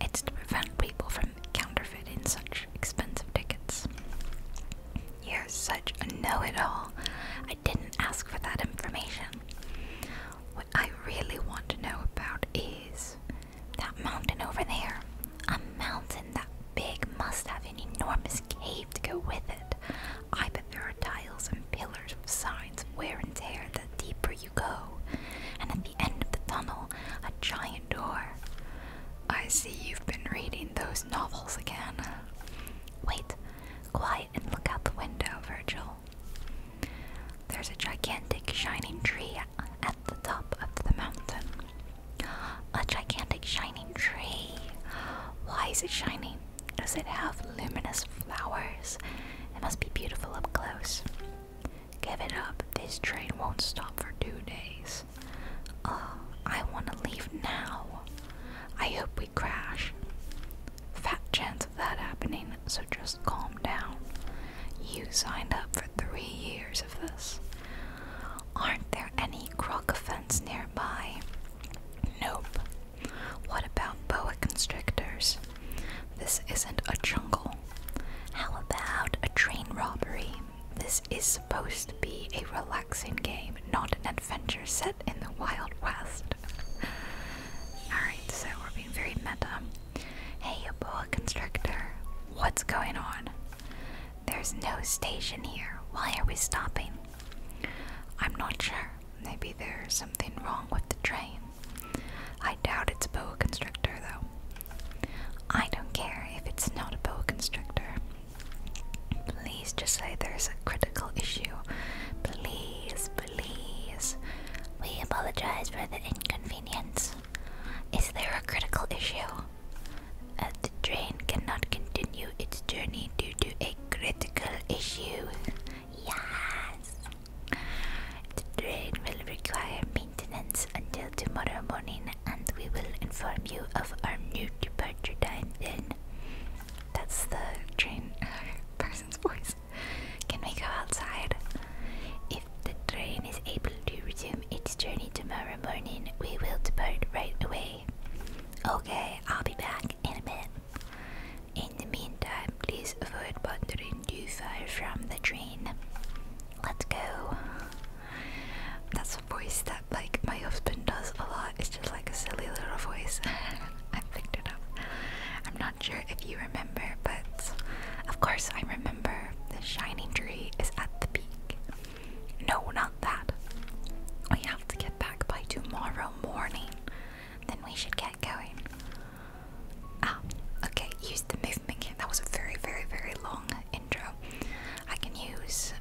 It's to prevent people from counterfeiting such expensive tickets. You're such a know it all. I didn't ask for that information. What I really want to know about is that mountain over there. A mountain that big must have an enormous cave to go with it. I bet there are tiles and pillars with signs of wear and tear that deeper you go, and at the end of the tunnel, a giant door. I see you've been reading those novels again. Wait, quiet and look out the window, Virgil. There's a gigantic shining tree at the top of the mountain. A gigantic shining tree. Why is it shining? Does it have luminous flowers? It must be beautiful up close. Give it up. This train won't stop for two days. Uh, I want to leave now. I hope we crash. Fat chance of that happening, so just calm down. You signed up for three years of this. Aren't there any croc nearby? Nope. What about boa constrictors? This isn't a jungle. How about a train robbery? This is supposed to be a relaxing game, not an adventure set in the Wild West. Alright, so we're being very meta. Hey, a boa constrictor, what's going on? There's no station here. Why are we stopping? I'm not sure. Maybe there's something wrong with the train. I doubt it's a boa constrictor, though. I don't care if it's not a constrictor. Please just say there's a critical issue. Please, please. We apologize for the inconvenience. Is there a critical issue? the train cannot continue its journey due to a critical issue. Yes! The train will require maintenance until tomorrow morning, and we will inform you of our new departure time then. That's the train person's voice. Can we go outside? If the train is able to resume its journey tomorrow morning, we will depart right away. Okay, I'll be back in a minute. In the meantime, please avoid wandering. You far from the train. Let's go. That's a voice that like my husband does a lot. It's just like a silly little voice. I picked it up. I'm not sure if you remember, but of course I remember. The shining tree is at the peak. No, not that. We have to get back by tomorrow morning. Then we should get going. Ah, okay, use the movement That was a very, very, very long intro. I can use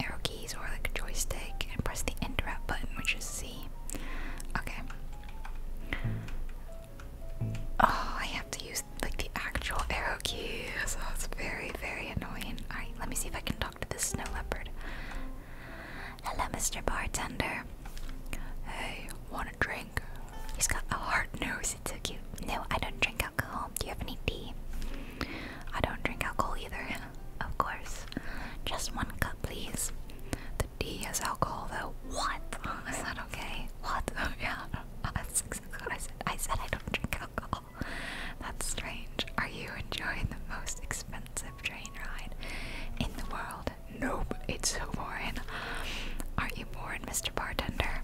arrow keys or like a joystick and press the interact button, which is C. Okay. Oh, I have to use like the actual arrow keys. So oh, that's very, very annoying. Alright, let me see if I can talk to this snow leopard. Hello, Mr. Bartender. Hey, one drink? He's got a hard nose, it's so cute. No, I don't drink alcohol. Do you have any tea? I don't drink alcohol either, of course. Just one cup, please. The tea has alcohol, though. What? Is that okay? What? Oh, yeah. That's exactly what I said. I said I don't drink alcohol. That's strange. Are you enjoying the most expensive train ride in the world? Nope, it's so boring. Are you bored? Mr. Bartender.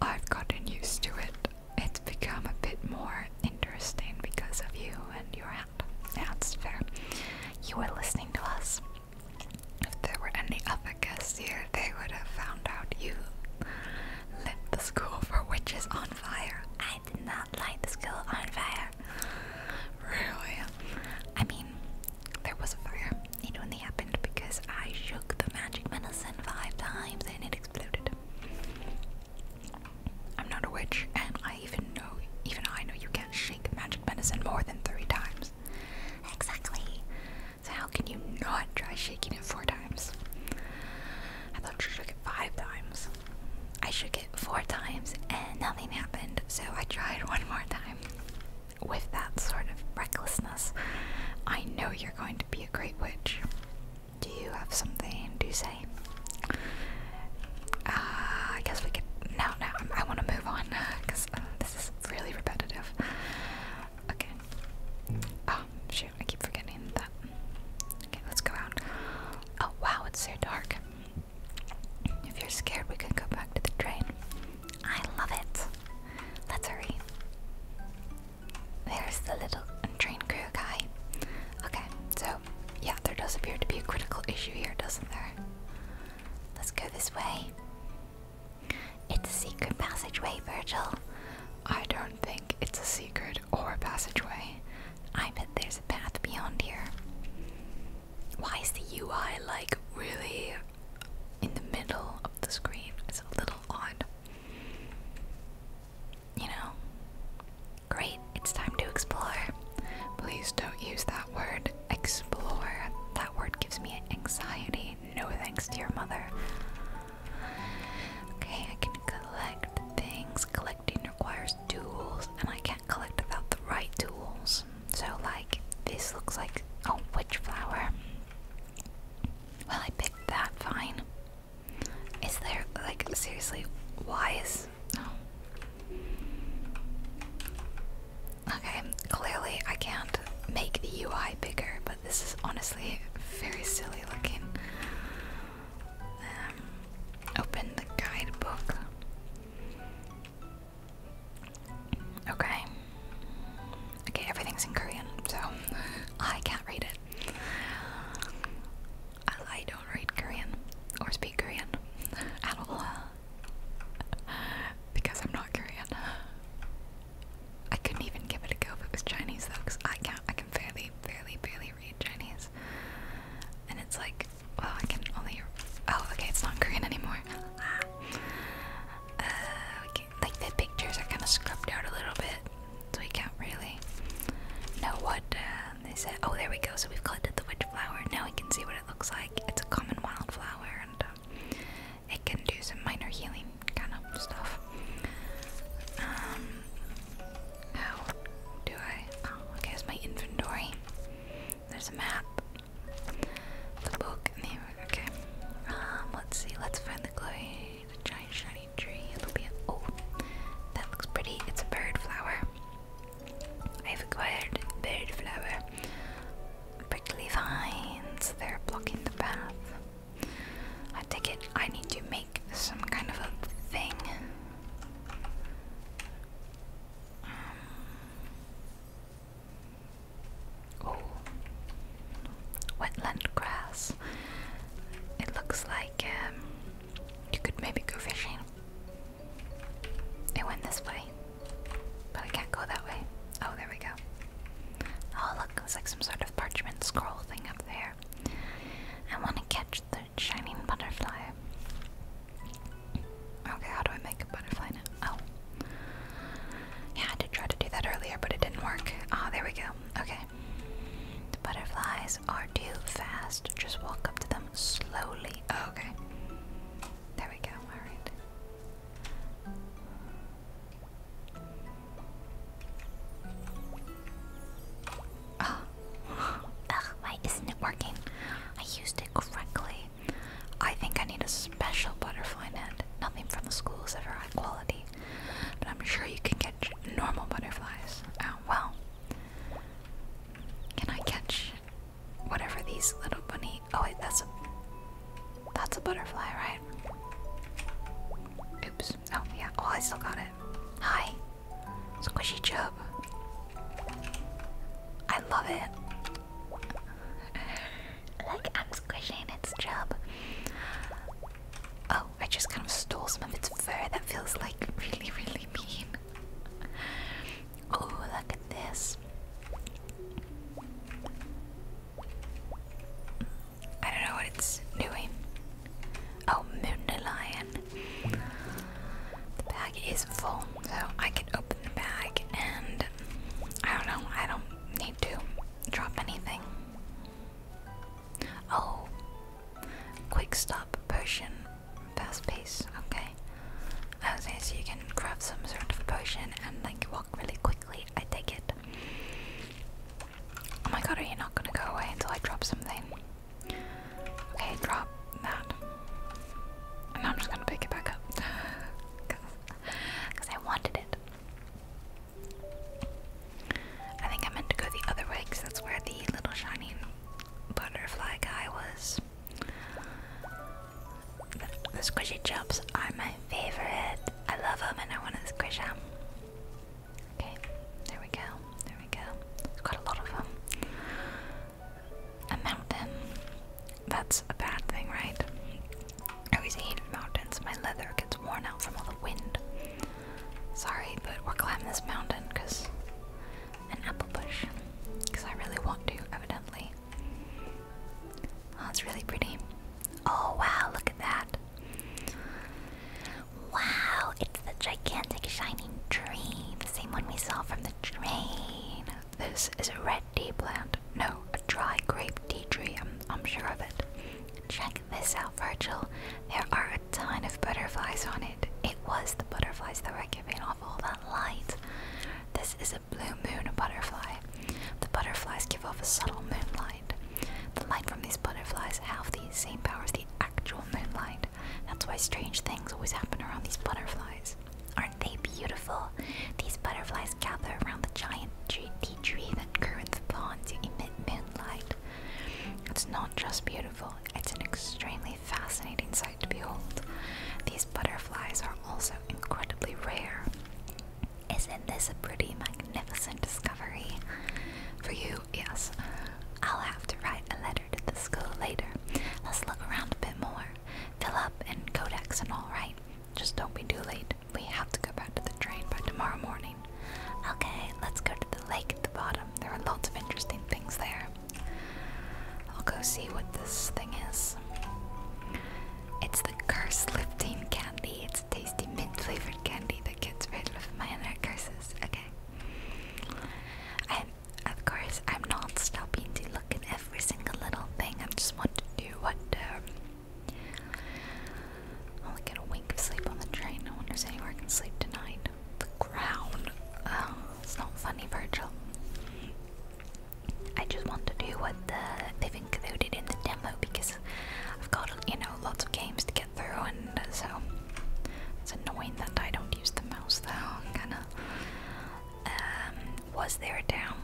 I've gotten used to it. It's become a bit more interesting because of you and your hat. that's fair. You were listening to us. If there were any other guests here, they would have found out you lit the school for witches on fire. I did not light the school on fire. Really? I mean, there was a fire. It only happened because I shook the magic medicine five times and it exploded. I'm not a witch, and I even know, even I know you can't shake magic medicine more than three times. Exactly. So how can you not try shaking it four times? I thought you shook it five times. I shook it four times and nothing happened, so I tried one more time with that sort of recklessness, I know you're going to be a great witch. Do you have something to say? Uh, I guess we could. No, no, I want to move on because uh, this is really repetitive. Okay. Oh, shoot, I keep forgetting that. Okay, let's go out. Oh, wow, it's so dark. If you're scared, we can go back to the train. I love it. Let's hurry. There's the little train crew guy. Okay, so yeah, there does appear to be a critical issue here, doesn't there? Let's go this way. It's a secret passageway, Virgil. I don't think it's a secret or a passageway. I bet there's a path beyond here. Why is the UI like really in the middle of the screen it's a little odd. You know? Great, it's time to explore. Please don't use that word, explore. That word gives me anxiety. No thanks to your mother. Okay, I can collect things. Collecting requires tools, and I can't collect without the right tools. So, like, this looks like a witch flower. Well, I picked that fine. Is there, like, seriously, why is. Oh. Okay, clearly I can't make the UI bigger, but this is honestly very silly looking. Um, open the guidebook. Okay. Okay, everything's in Korean, so I can't read it. I, don't read Korean or speak Korean at all because I'm not Korean. I couldn't even give it a go if it was Chinese though, because I can't. I can barely, barely, barely read Chinese, and it's like, well, I can only. Oh, okay, it's not Korean anymore. Uh, like the pictures are kind of scrubbed out a little bit, so we can't really know what uh, they said. Oh, there we go. So we've collected the witch flower. Now we can see what it looks like. It's a common wildflower, and um, it can do some minor healing kind of stuff. Um, how do I? Oh, okay. It's my inventory. There's a map, the book, and okay. Um, let's see. Let's find a giant shiny tree. It'll be a, oh, that looks pretty. It's a bird flower. I've acquired bird flower. Prickly vines. They're blocking the path. I take it. I need to make some kind of a thing. Um, Oh, wetland grass. It looks like um, you could maybe go fishing. It went this way, but I can't go that way. Oh, there we go. Oh, look, it's like some sort of parchment scroll thing up there. I want to catch the shining butterfly. Okay, how do I make a butterfly now? Oh. Yeah, I did try to do that earlier, but it didn't work. Ah, there we go. Okay. The butterflies are too fast. Just walk up to them slowly. Oh, okay. There we go. All right. Oh. why isn't it working? I used it correctly. I think I need a special butterfly net. Nothing from the school is ever high quality but I'm sure you can catch normal butterflies. Oh, well, can I catch whatever these little bunny? Oh wait, that's a that's a butterfly, right? Oops. Oh yeah. Oh, I still got it. Hi, squishy chub. I love it. Look, I'm squishing its job. Oh, I just kind of stole some of its fur. That feels like really, really mean. Oh, look at this. I don't know what it's doing. Oh, Moonlion. The bag is full, so I can open the bag and I don't know, I don't need to drop anything. Oh, quick stop potion, fast pace. Okay, okay, so you can grab some sort of potion and like walk really quickly. I take it. Oh my god, are you not gonna go away until I drop something? Okay, drop that. And I'm just gonna pick it back up because I wanted it. I think I meant to go the other way because that's where the little shining butterfly guy was. The, squishy jumps are my favorite. I love them and I want to squish them. Okay, there we go. There we go. It's a lot of them. A mountain. That's a bad thing, right? I always hate mountains. My leather gets worn out from all the wind. Sorry, but we're climbing this mountain because an apple bush. Because I really want to, evidently. Oh, it's really pretty. Oh wow, look at that. Wow, it's the gigantic shining tree, the same one we saw from the train. This is a red tea plant. No, a dry grape tea tree. I'm, I'm sure of it. Check Miss out, Virgil. There are a ton of butterflies on it. It was the butterflies that were giving off all that light. This is a blue moon butterfly. The butterflies give off a subtle moonlight. The light from these butterflies have the same power as the actual moonlight. That's why strange things always happen around these butterflies. Aren't they beautiful? These butterflies gather around the giant tree, tree that grew in the pond to emit midnight. It's not just beautiful, it's an extremely fascinating sight to behold. These butterflies are also incredibly rare. Isn't this a pretty magnificent discovery? For you, yes. I'll have to write a letter to the school later. Let's look around a bit more. Fill up and codex and all right. Just don't be too late. We have to go back to the train by tomorrow morning. Okay, let's go to the lake at the bottom. There are lots of interesting things there. I'll go see what this thing is. It's the curse lifting candy. It's tasty mint flavored candy that gets rid of my inner curses. Okay. And of course, I'm not stopping to look at every single little thing. I just want to do what um, i get a wink of sleep on the train. No one anywhere I can sleep tonight. The ground. Oh, it's not funny, Virgil. I just want to do what they've included in the demo because I've got, you know, lots of games to get through, and so it's annoying that I don't use the mouse though. I'm um, was there down?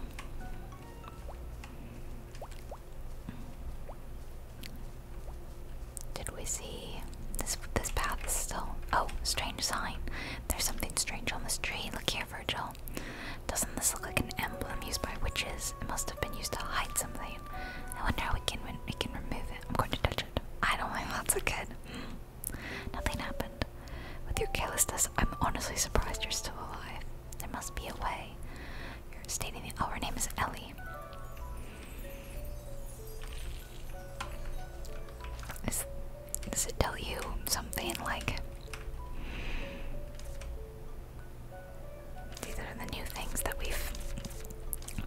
Did we see this? This path still. Oh, strange sign. There's something strange on this tree. Look here, Virgil. Doesn't this look like an emblem used by witches? It must have been used to hide something. I wonder how we can we can remove it. I'm going to touch it. I don't think that's a good. Nothing happened. With your carelessness, I'm honestly surprised you're still alive. There must be a way you're stating that our oh, name is Ellie. does it tell you something like? These are the new things that we've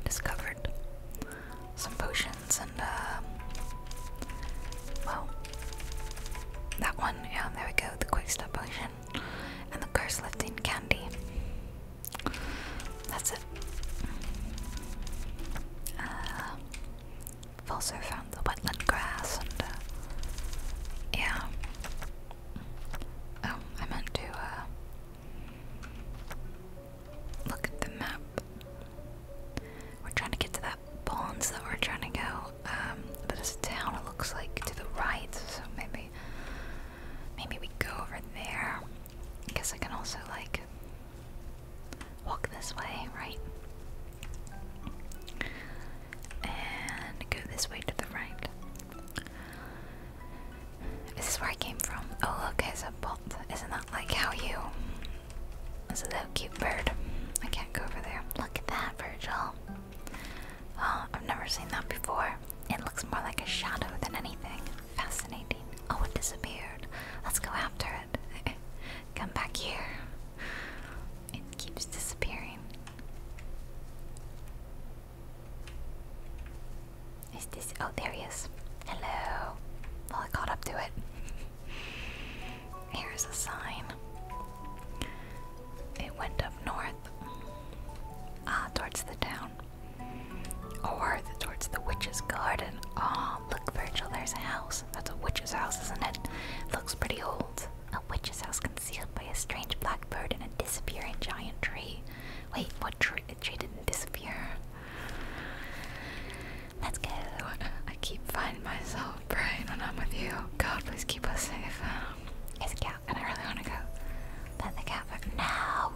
discovered. Some potions and, uh, well, that one, yeah, there we go, the quick stop potion and the curse lifting candy. That's it. Uh, I've also found the wetland grass uh, yeah. Oh, I meant to uh, look at the map. We're trying to get to that pond that we're trying to go, um, but there's town looks like to the right, so maybe Maybe we go over there. I guess I can also, like, walk this way, right? And go this way to the right. Is where I came from? Oh, look, it's a bolt. Isn't that like how you. This is a cute bird. I can't go over there. Look at that, Virgil. Oh, I've never seen that before. It looks more like a shadow than anything. Fascinating. Oh, it disappeared. Let's go after it. Come back here. It keeps disappearing. Is this? Oh, there he is. Hello. Well, I caught up to it. Here's a sign. It went up north. Ah, towards the town. Or towards the witch's garden. Oh, look, Virgil, there's a house. That's a witch's house, isn't it? Looks pretty old. A witch's house concealed by a strange black bird and a disappearing giant tree. Wait, what tree? The didn't disappear. Let's go. I keep finding myself, Brain, when I'm with you. God, please keep us safe. Is and I really want to go. Then the cat went, no!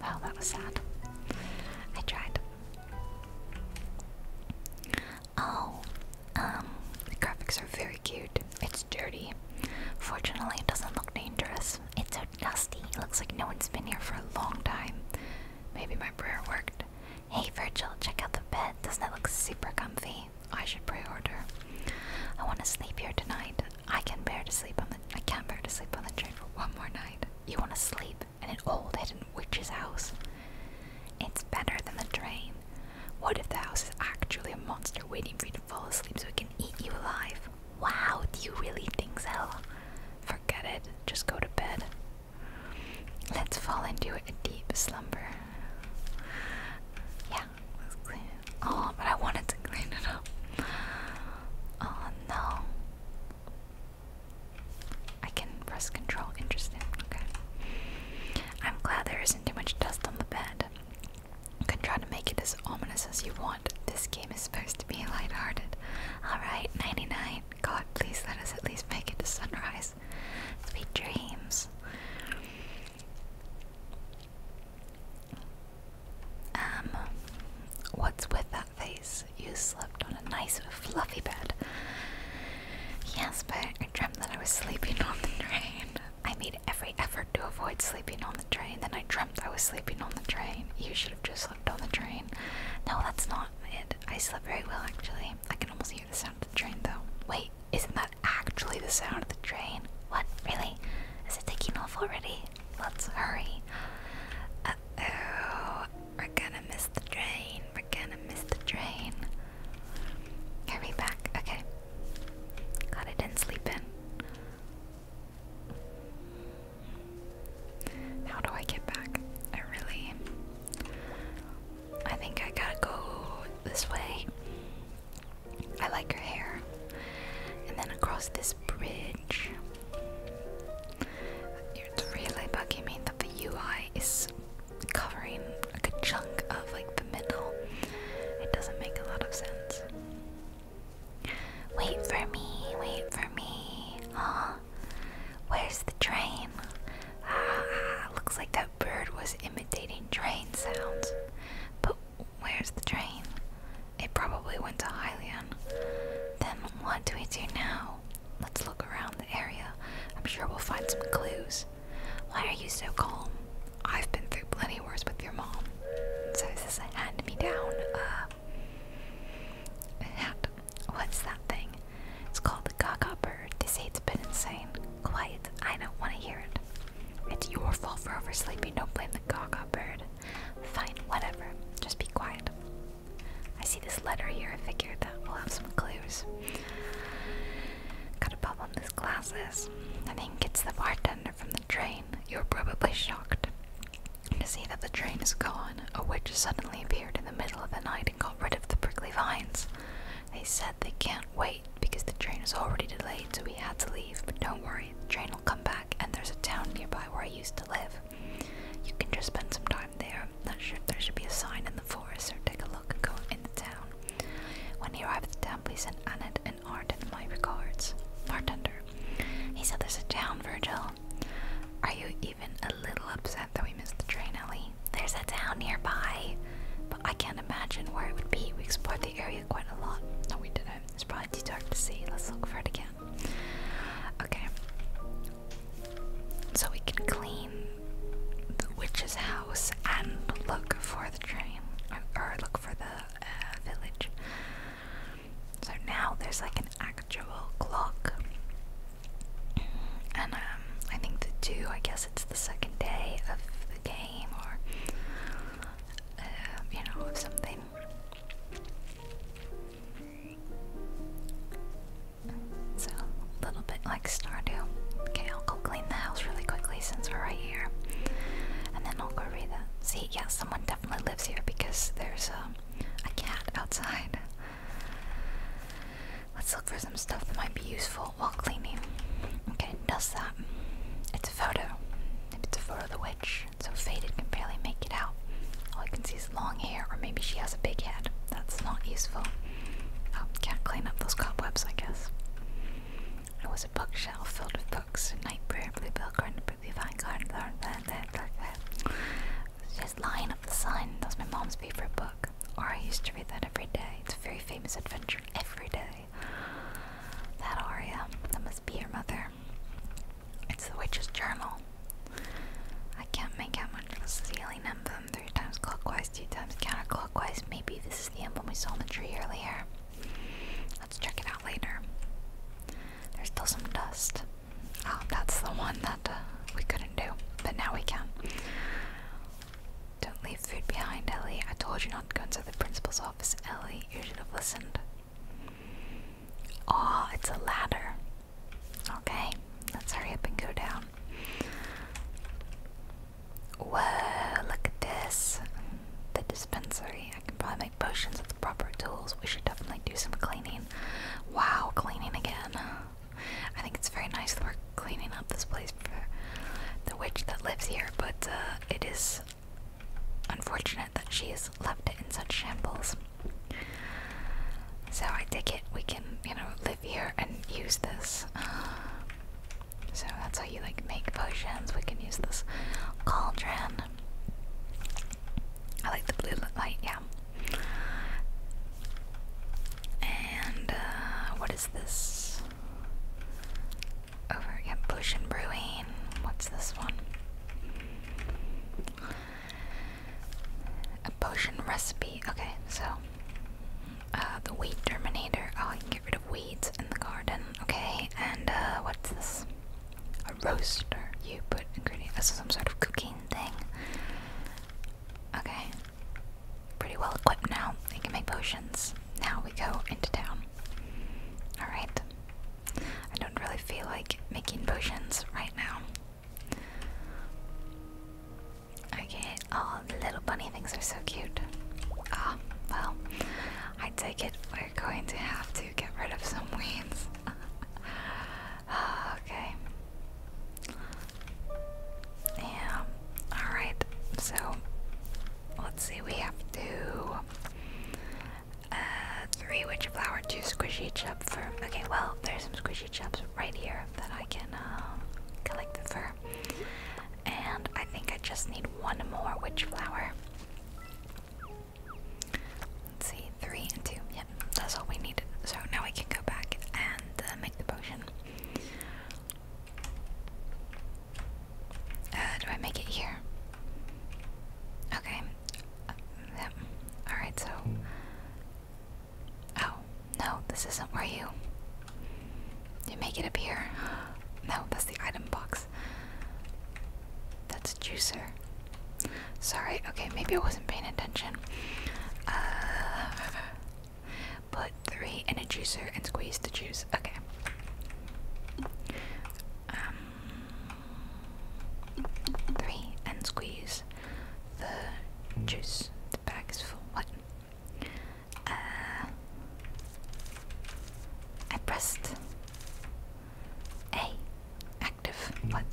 Well, oh, that was sad. I tried. Oh, um, the graphics are very cute. It's dirty. Fortunately, it doesn't look dangerous. It's so dusty. looks like no one's been here for a long time. Maybe my prayer worked. Hey, Virgil, check out the bed. Doesn't that look super comfy? I should pre-order. I want to sleep here tonight. I can bear to sleep on the I can't bear to sleep on the train for one more night. You wanna sleep in an old hidden witch's house? It's better than the train. What if the house is actually a monster waiting for you to fall asleep so it can eat you alive? Wow, do you really think so? Forget it, just go to bed. Let's fall into a deep slumber. Yeah, Oh, but I wanted to clean it up. Oh no. I can press control. Interesting. Okay. I'm glad there isn't too much dust on the bed. You can try to make it as ominous as you want. This game is supposed to be lighthearted. Alright, 99. God, please let us at least make it to sunrise. Sweet dreams. Um, what's with that face? You slept on a nice, fluffy bed. Yes, but I dreamt that I was sleeping on the train. I made every effort to avoid sleeping on the train, then I dreamt I was sleeping on the train. You should have just slept on the train. No, that's not it. I slept very well, actually. I can almost hear the sound of the train, though. Wait, isn't that actually the sound of the train? What? Really? Is it taking off already? let's hurry. oh, we're gonna miss the train. We're gonna miss the train. Hurry back. Okay. God, I didn't sleep in. How do I get back? I really. I think I gotta go this way. I like her hair. And then across this bridge. It's really bugging me that the UI is covering like a chunk of like the middle. It doesn't make a lot of sense. Wait for me, wait for me. Aw, where's the train? Ah, looks like that bird was imitating train sounds. But Where's the train? It probably went to Hylian. Then what do we do now? Let's look around the area. I'm sure we'll find some clues. Why are you so calm? I've been through plenty worse with your mom. So is this a hand-me-down, uh, hat? What's that thing? It's called the Gaga bird. They say it's been insane. Quiet, I don't want to hear it. It's your fault for oversleeping, don't blame the Gaga bird. Fine, whatever. Just be quiet. I see this letter here. I figured that we'll have some clues. got a pop on these glasses. I think it's the bartender from the train. You're probably shocked to see that the train is gone. A witch suddenly appeared in the middle of the night and got rid of the prickly vines. They said they can't wait because the train is already delayed, so we had to leave. But don't worry, the train will come back and there's a town nearby where I used to live. You can just spend some time there. Not sure if there should be a sign in the forest, or take a look and go in the town. When he arrived at the town, he sent Annette and Arden my regards. Bartender. He said there's a town, Virgil. Are you even a little upset that we missed the train, Ellie? There's a town nearby, but I can't imagine where it would be. We explored the area quite a lot. No, we didn't. It's probably too dark to see. Let's look for it again. Okay. So we can clean the witch's house and look for the train. Or look for the uh, village. So now there's like an actual clock. And um, I think the two, I guess it's the second day of the game or, uh, you know, of something. So, a little bit like Stardew. Okay, I'll go clean the house really quickly since we're right here. And then I'll go read that. See, yeah, someone definitely lives here because there's a, um, a cat outside. Let's look for some stuff that might be useful while cleaning. Okay, does that? It's a photo. It's a photo of the witch brush, so faded can barely make it out. All I can see is long hair, or maybe she has a big head. That's not useful. Oh, can't clean up those cobwebs, I guess. It was a bookshelf filled with books. Night prayer, blue bell garden, blue vine garden, Just lying up the sun. That's my mom's favorite book. Or I used to read that every day. It's a very famous adventure every day. That Aria, that must be your mother. It's the witch's journal. I can't make out much of a ceiling number? Three times clockwise, two times counterclockwise. Maybe this is the emblem we saw on the tree earlier. Let's check it out later. There's still some dust. Oh, that's the one that uh, we couldn't do, but now we can. Don't leave food behind, Ellie. I told you not to go inside the principal's office, Ellie. You should have listened. Oh, it's a ladder. Okay, let's hurry up and go down. Whoa, look at this. The dispensary. I can probably make potions with the proper tools. We should definitely do some cleaning. Wow, cleaning again. I think it's very nice that we're cleaning up this place for the witch that lives here, but uh, it is unfortunate that she's left it in such shambles. So I take it we can, you know, live here and use this. So that's how you like make potions. We can use this cauldron. I like the blue light, yeah. And uh, what is this? Over, yeah, potion brewing. What's this one? A potion recipe. Okay, so uh, the weed terminator. Oh, I can get rid of weeds in the garden. Okay, and uh, what's this? A roaster. You put ingredients. This is some sort of cooking thing. Okay, pretty well equipped now. I can make potions. Now we go into town. Alright. I don't really feel like making potions right now. Okay, oh, little bunny things are so cute. Ah, well, I take it we're going to have to get rid of some weeds. Ah, okay. Yeah, alright, so let's see, we have to uh, three witch flower, two squishy chub fur. Okay, well, there's some squishy chubs right here that I can um, collect the fur. And I think I just need one more witch flower. Let's see, three and two. Yep, that's all we needed. So now we can go back and uh, make the potion. Uh, do I make it here? Okay. Uh, Alright, so. Oh, no, this isn't where you. You make it appear. No, that's the item box. That's a juicer. Sorry, okay, maybe I wasn't paying attention. Uh, put three in a juicer and squeeze the juice. Okay. Um, Three, and squeeze the juice. The bag is full. What? Uh, I pressed A. Active. What?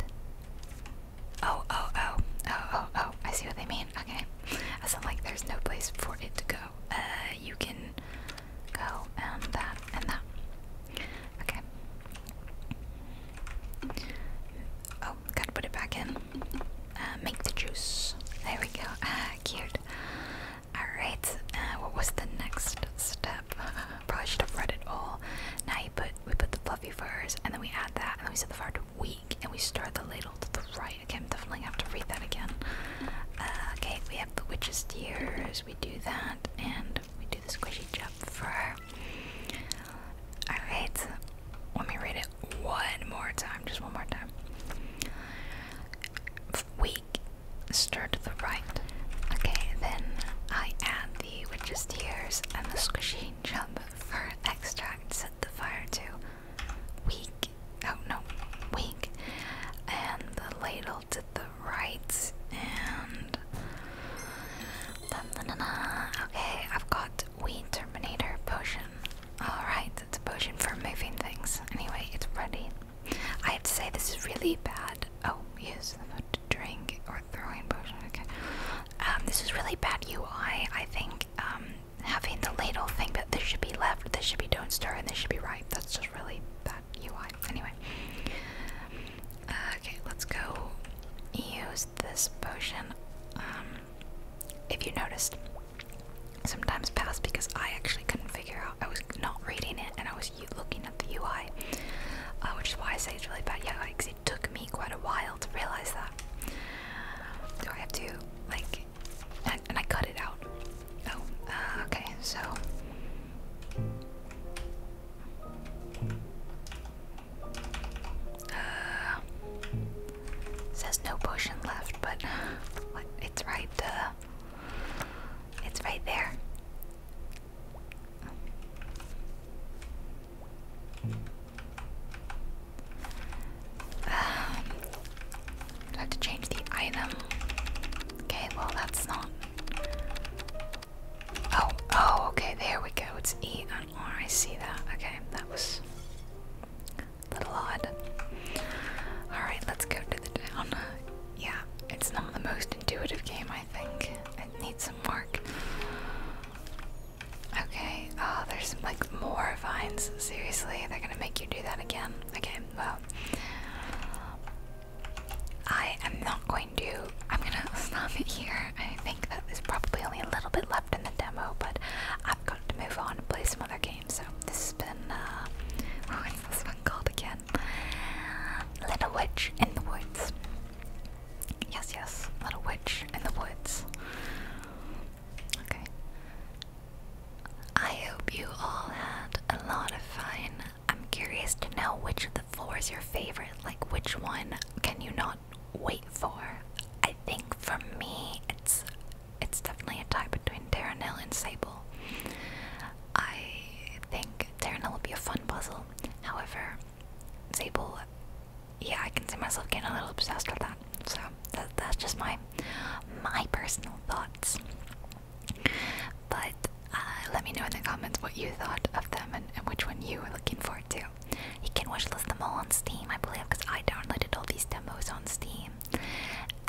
Oh, oh, oh. Oh, oh, oh. I see what they mean. Okay. I sound like there's no place for it to go. Uh, you can go and that and that. Okay. Oh, gotta put it back in. Uh, make the juice. There we go. Ah, cute. Alright, uh, what was the next step? Probably should have read it all. Now you put, we put the fluffy furs, and then we add that, and we set the fire to weak, and we stir the ladle to the right. Okay, definitely have to read that again. Uh, okay, we have the witch's tears, we do that, and we do the squishy job for Alright, let me read it one more time, just one more time. Weak, stir to the right. Okay, then I add the witch's tears and the squishy jump for extract. Set the fire to weak. Oh no, weak. And the ladle the right and dun, dun, okay, I've got weed terminator potion. Alright, it's a potion for moving things. Anyway, it's ready. I have to say this is really bad. Oh, use the food to drink or throwing potion, okay. Um, this is really bad UI, I think. Um, having the ladle thing, that this should be left, this should be don't stir, and this should be right. That's just really bad UI. Anyway. Uh, okay, let's go use this potion. Um, if you noticed, sometimes past because I actually couldn't figure out. I was not reading it and I was looking at the UI, uh, which is why I say it's really bad. Yeah, because it took me quite a while to realize that. Do I have to like? And, I cut it out. Oh, uh, okay. So uh, says no potion left, but it's right. Uh, it's right there. have to change the item. Okay, well that's not Oh, oh, okay, there we go. It's E and R. I see that. Okay, that was a little odd. Alright, let's go to the town. Yeah, it's not the most intuitive game, I think. It needs some work. Okay, oh, there's like more vines. Seriously, they're gonna make you do that again. Okay, well. I am not going to. I'm gonna stop it here. I think that there's probably only a little bit left in the demo, but I've got to move on and play some other games. So this has been. Uh, what's this one called again? Little Witch in the Woods. Yes, yes, Little Witch in the Woods. Okay. I hope you all had a lot of fun. I'm curious to know which of the floor is your favorite? Like, which one can you not wait for? I think for me, it's it's definitely a tie between Darrenelle and Sable. I think Darrenelle will be a fun puzzle. However, Sable, yeah, I can see myself getting a little obsessed with that. So that's just my my personal thoughts. But uh, let me know in the comments what you thought of them and, which one you were looking forward to. You can wishlist them all on Steam, I believe, because I downloaded all these demos on Steam.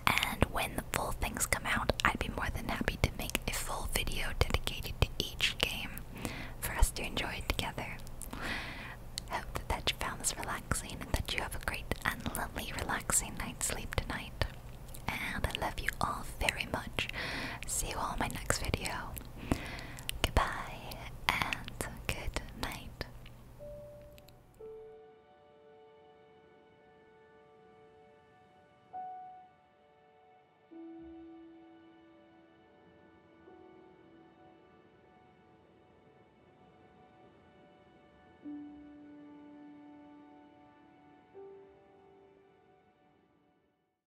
And when the full things come out, I'd be more than happy to make a full video dedicated to each game for us to enjoy together. Hope that you found this relaxing and that you have a great and lovely relaxing night's sleep tonight. And I love you all very much. See you all in my next video. Goodbye and good night.